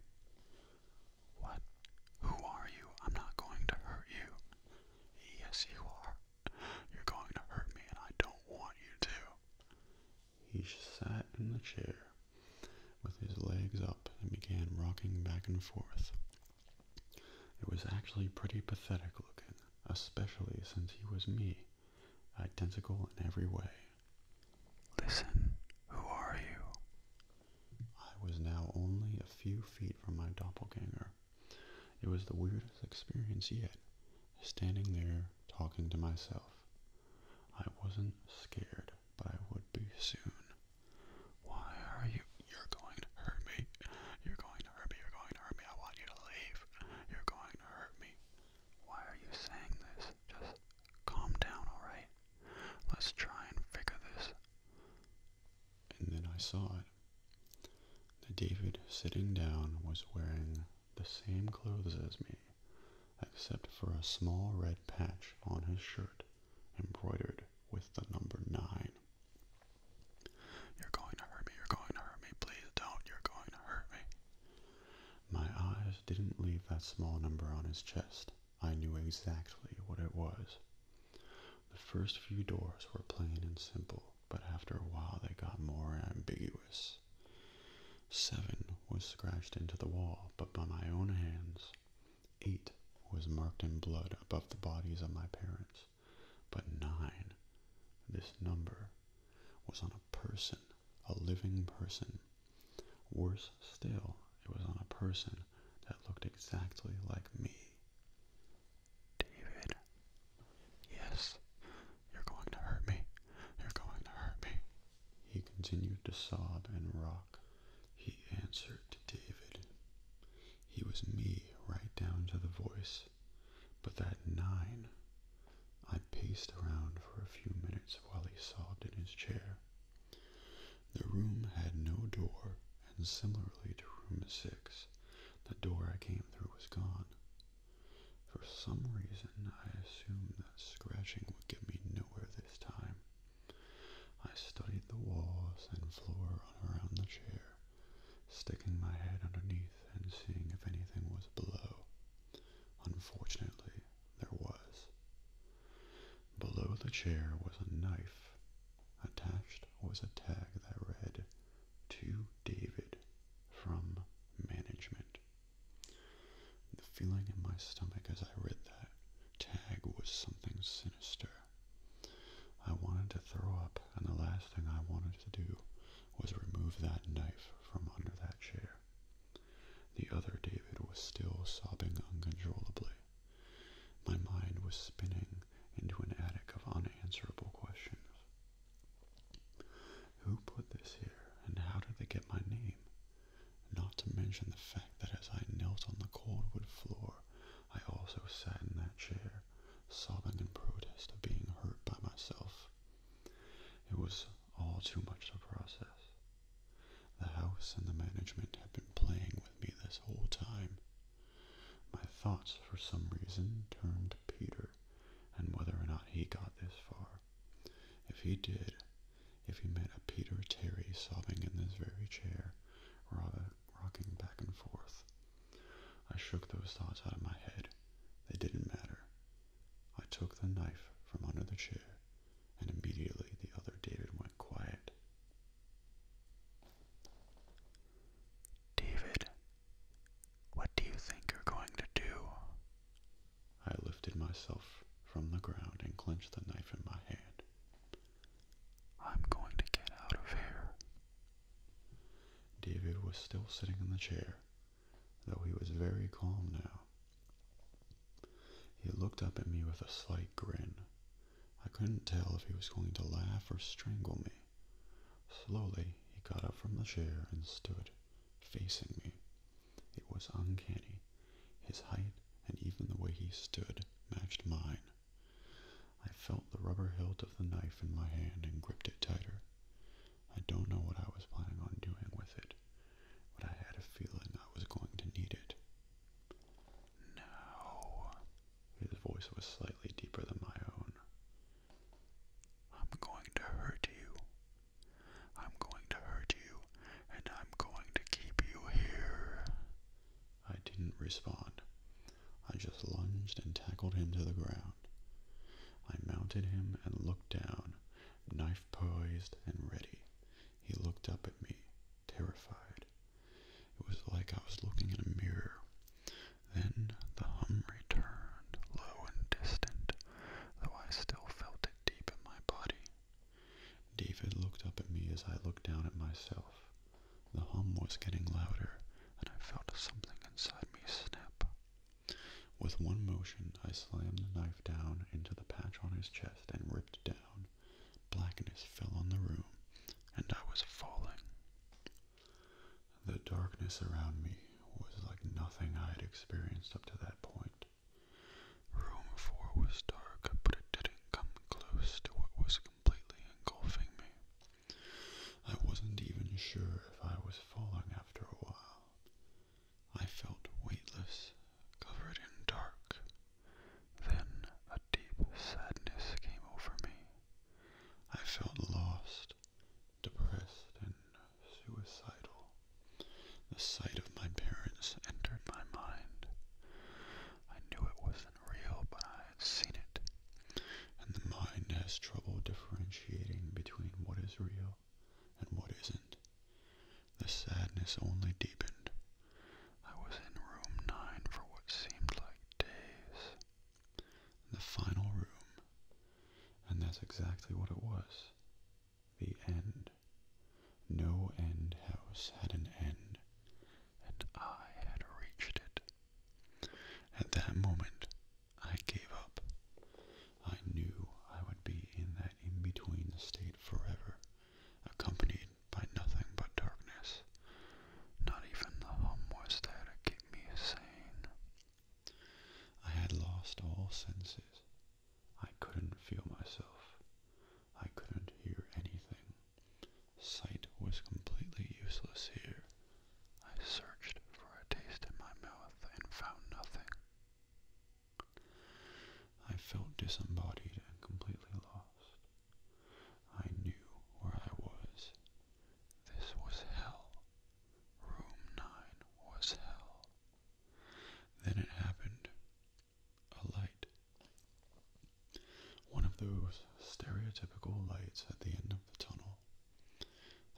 What? Who are you? I'm not going to hurt you. Yes, you are. You're going to hurt me, and I don't want you to. He sat in the chair with his legs up and began rocking back and forth. It was actually pretty pathetic looking, especially since he was me, identical in every way. Listen, who are you? I was now only a few feet from my doppelganger. It was the weirdest experience yet, standing there talking to myself. I wasn't scared, but I would be soon. Why are you? You're going to hurt me. You're going to hurt me. You're going to hurt me. I want you to leave. You're going to hurt me. Why are you saying this? Just calm down, alright? Let's try and figure this. And then I saw it. That David, sitting down, was wearing the same clothes as me, except for a small red patch on his shirt embroidered with the number nine. You're going to hurt me, you're going to hurt me, please don't, you're going to hurt me. My eyes didn't leave that small number on his chest. I knew exactly what it was. The first few doors were plain and simple, but after a while they got more ambiguous. Seven was scratched into the wall, but by my own hands. Eight was marked in blood above the bodies of my parents, but nine, this number, was on a person a living person. Worse still, it was on a person that looked exactly like me. David. Yes, you're going to hurt me. You're going to hurt me. He continued to sob and rock. He answered to David. He was me right down to the voice. But that nine I paced around for a few minutes while he sobbed in his chair. The room had no door, and similarly to room six, the door I came through was gone. For some reason, I assumed that scratching would get me nowhere this time. I studied the walls and floor around the chair, sticking my head underneath and seeing if anything was below. Unfortunately, there was. Below the chair was a knife. Attached was a tag that read, To David from Management. The feeling in my stomach as I read that tag was something sinister. I wanted to throw up, and the last thing I wanted to do was remove that knife from under that chair. The other David was still sobbing uncontrollably. My mind was spinning into an attic of unanswerable questions. Who put this here, and how did they get my name? Not to mention the fact that as I knelt on the cold wood floor, I also sat in that chair, sobbing in protest of being hurt by myself. It was all too much to process. The house and the management had been playing with me this whole time. My thoughts, for some reason, turned to Peter and whether or not he got this far. If he did, if he met a Peter Terry sobbing in this very chair, rocking back and forth. I shook those thoughts out of my head. They didn't matter. I took the knife from under the chair and immediately the other David went quiet. David, what do you think you're going to do? I lifted myself from the ground and clenched the knife in my hand. I'm going to get out of here. David was still sitting in the chair, though he was very calm now. He looked up at me with a slight grin. I couldn't tell if he was going to laugh or strangle me. Slowly, he got up from the chair and stood, facing me. It was uncanny. His height and even the way he stood matched mine. I felt the rubber hilt of the knife in my hand and gripped it tighter. I don't know what I was planning on doing with it, but I had a feeling I was going to need it. No. His voice was slightly deeper than my own. I'm going to hurt you. I'm going to hurt you, and I'm going to keep you here. I didn't respond. I just lunged and tackled him to the ground. I mounted him and looked down, knife poised and ready, he looked up at me, terrified. It was like I was looking in a mirror. Then the hum returned, low and distant, though I still felt it deep in my body. David looked up at me as I looked down at myself. The hum was getting louder, and I felt something inside me snap. With one motion, I slammed the knife down into the patch on his chest and ripped down. Blackness fell on the room, and I was falling. The darkness around me was like nothing I had experienced up to that point. Room 4 was dark, but it didn't come close to what was completely engulfing me. I wasn't even sure if I was falling after a while. I felt weightless, covered in dark. Then a deep sadness came over me. I felt lost, depressed, and suicidal. The sight of my parents entered my mind. I knew it wasn't real, but I had seen it. And the mind has trouble differentiating between what is real and what isn't. The sadness only deepened. I was in room nine for what seemed like days. The final room. And that's exactly what it was. The end. No end house had an end, and I had reached it. At that moment, I gave up. I knew I would be in that in between state forever accompanied by nothing but darkness. Not even the hum was there to keep me sane. I had lost all senses. I couldn't feel myself. I couldn't hear anything. Sight was completely useless here. I searched for a taste in my mouth and found nothing. I felt disembodied and completely lost. I knew where I was. This was hell. Room 9 was hell. Then it happened. A light. One of those stereotypical lights at the end of the tunnel.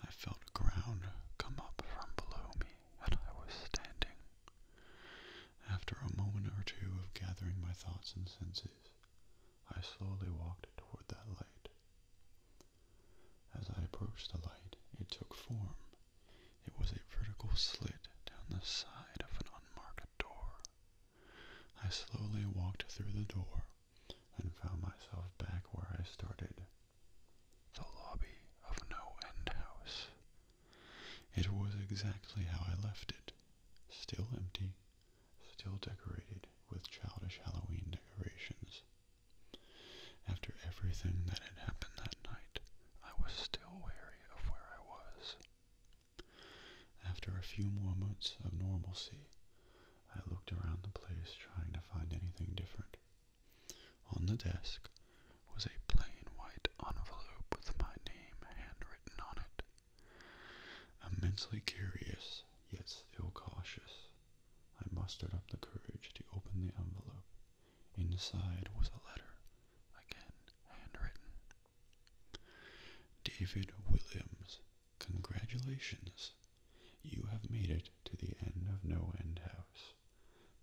I felt ground come up from below me, and I was standing. After a moment or two of gathering my thoughts and senses, I slowly walked toward that light. As I approached the light, it took form. It was a vertical slit down the side of an unmarked door. I slowly walked through the door and found myself back where I started. The lobby of no end house it was exactly how I left it, still empty, still decorated with childish Halloween decorations. After everything that had happened that night, I was still wary of where I was. After a few moments of normalcy, I looked around the place trying to find anything different. On the desk was a plain white envelope with my name handwritten on it. Immensely curious, yet still cautious, I mustered up the courage to open the envelope. Inside was a letter, again handwritten. David Williams, congratulations. You have made it to the end of No End House.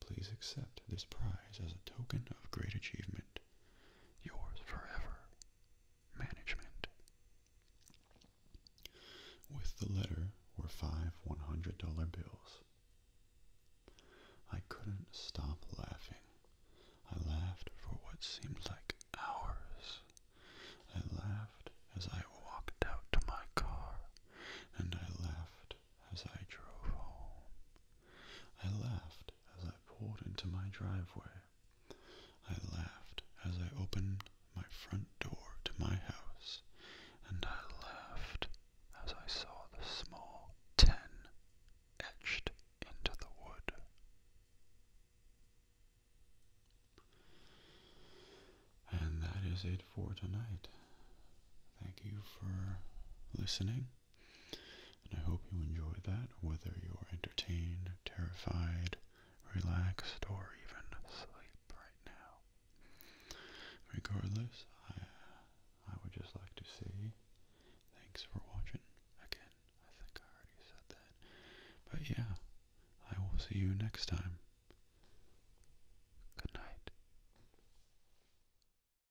Please accept this prize as a token of great achievement. Yours forever, Management. With the letter were five $100 bills. I couldn't stop laughing. I laughed for what seemed like hours. I laughed as I walked out to my car, and I laughed as I drove home. I laughed as I pulled into my driveway. I laughed as I opened my front door to my house, and I laughed as I saw the small ten etched into the wood. And that is it for tonight. Thank you for listening. And I hope you enjoy that, whether you're entertained, terrified, relaxed, or even asleep right now. Regardless, I, I would just like to say thanks for watching. Again, I think I already said that. But yeah, I will see you next time. Good night.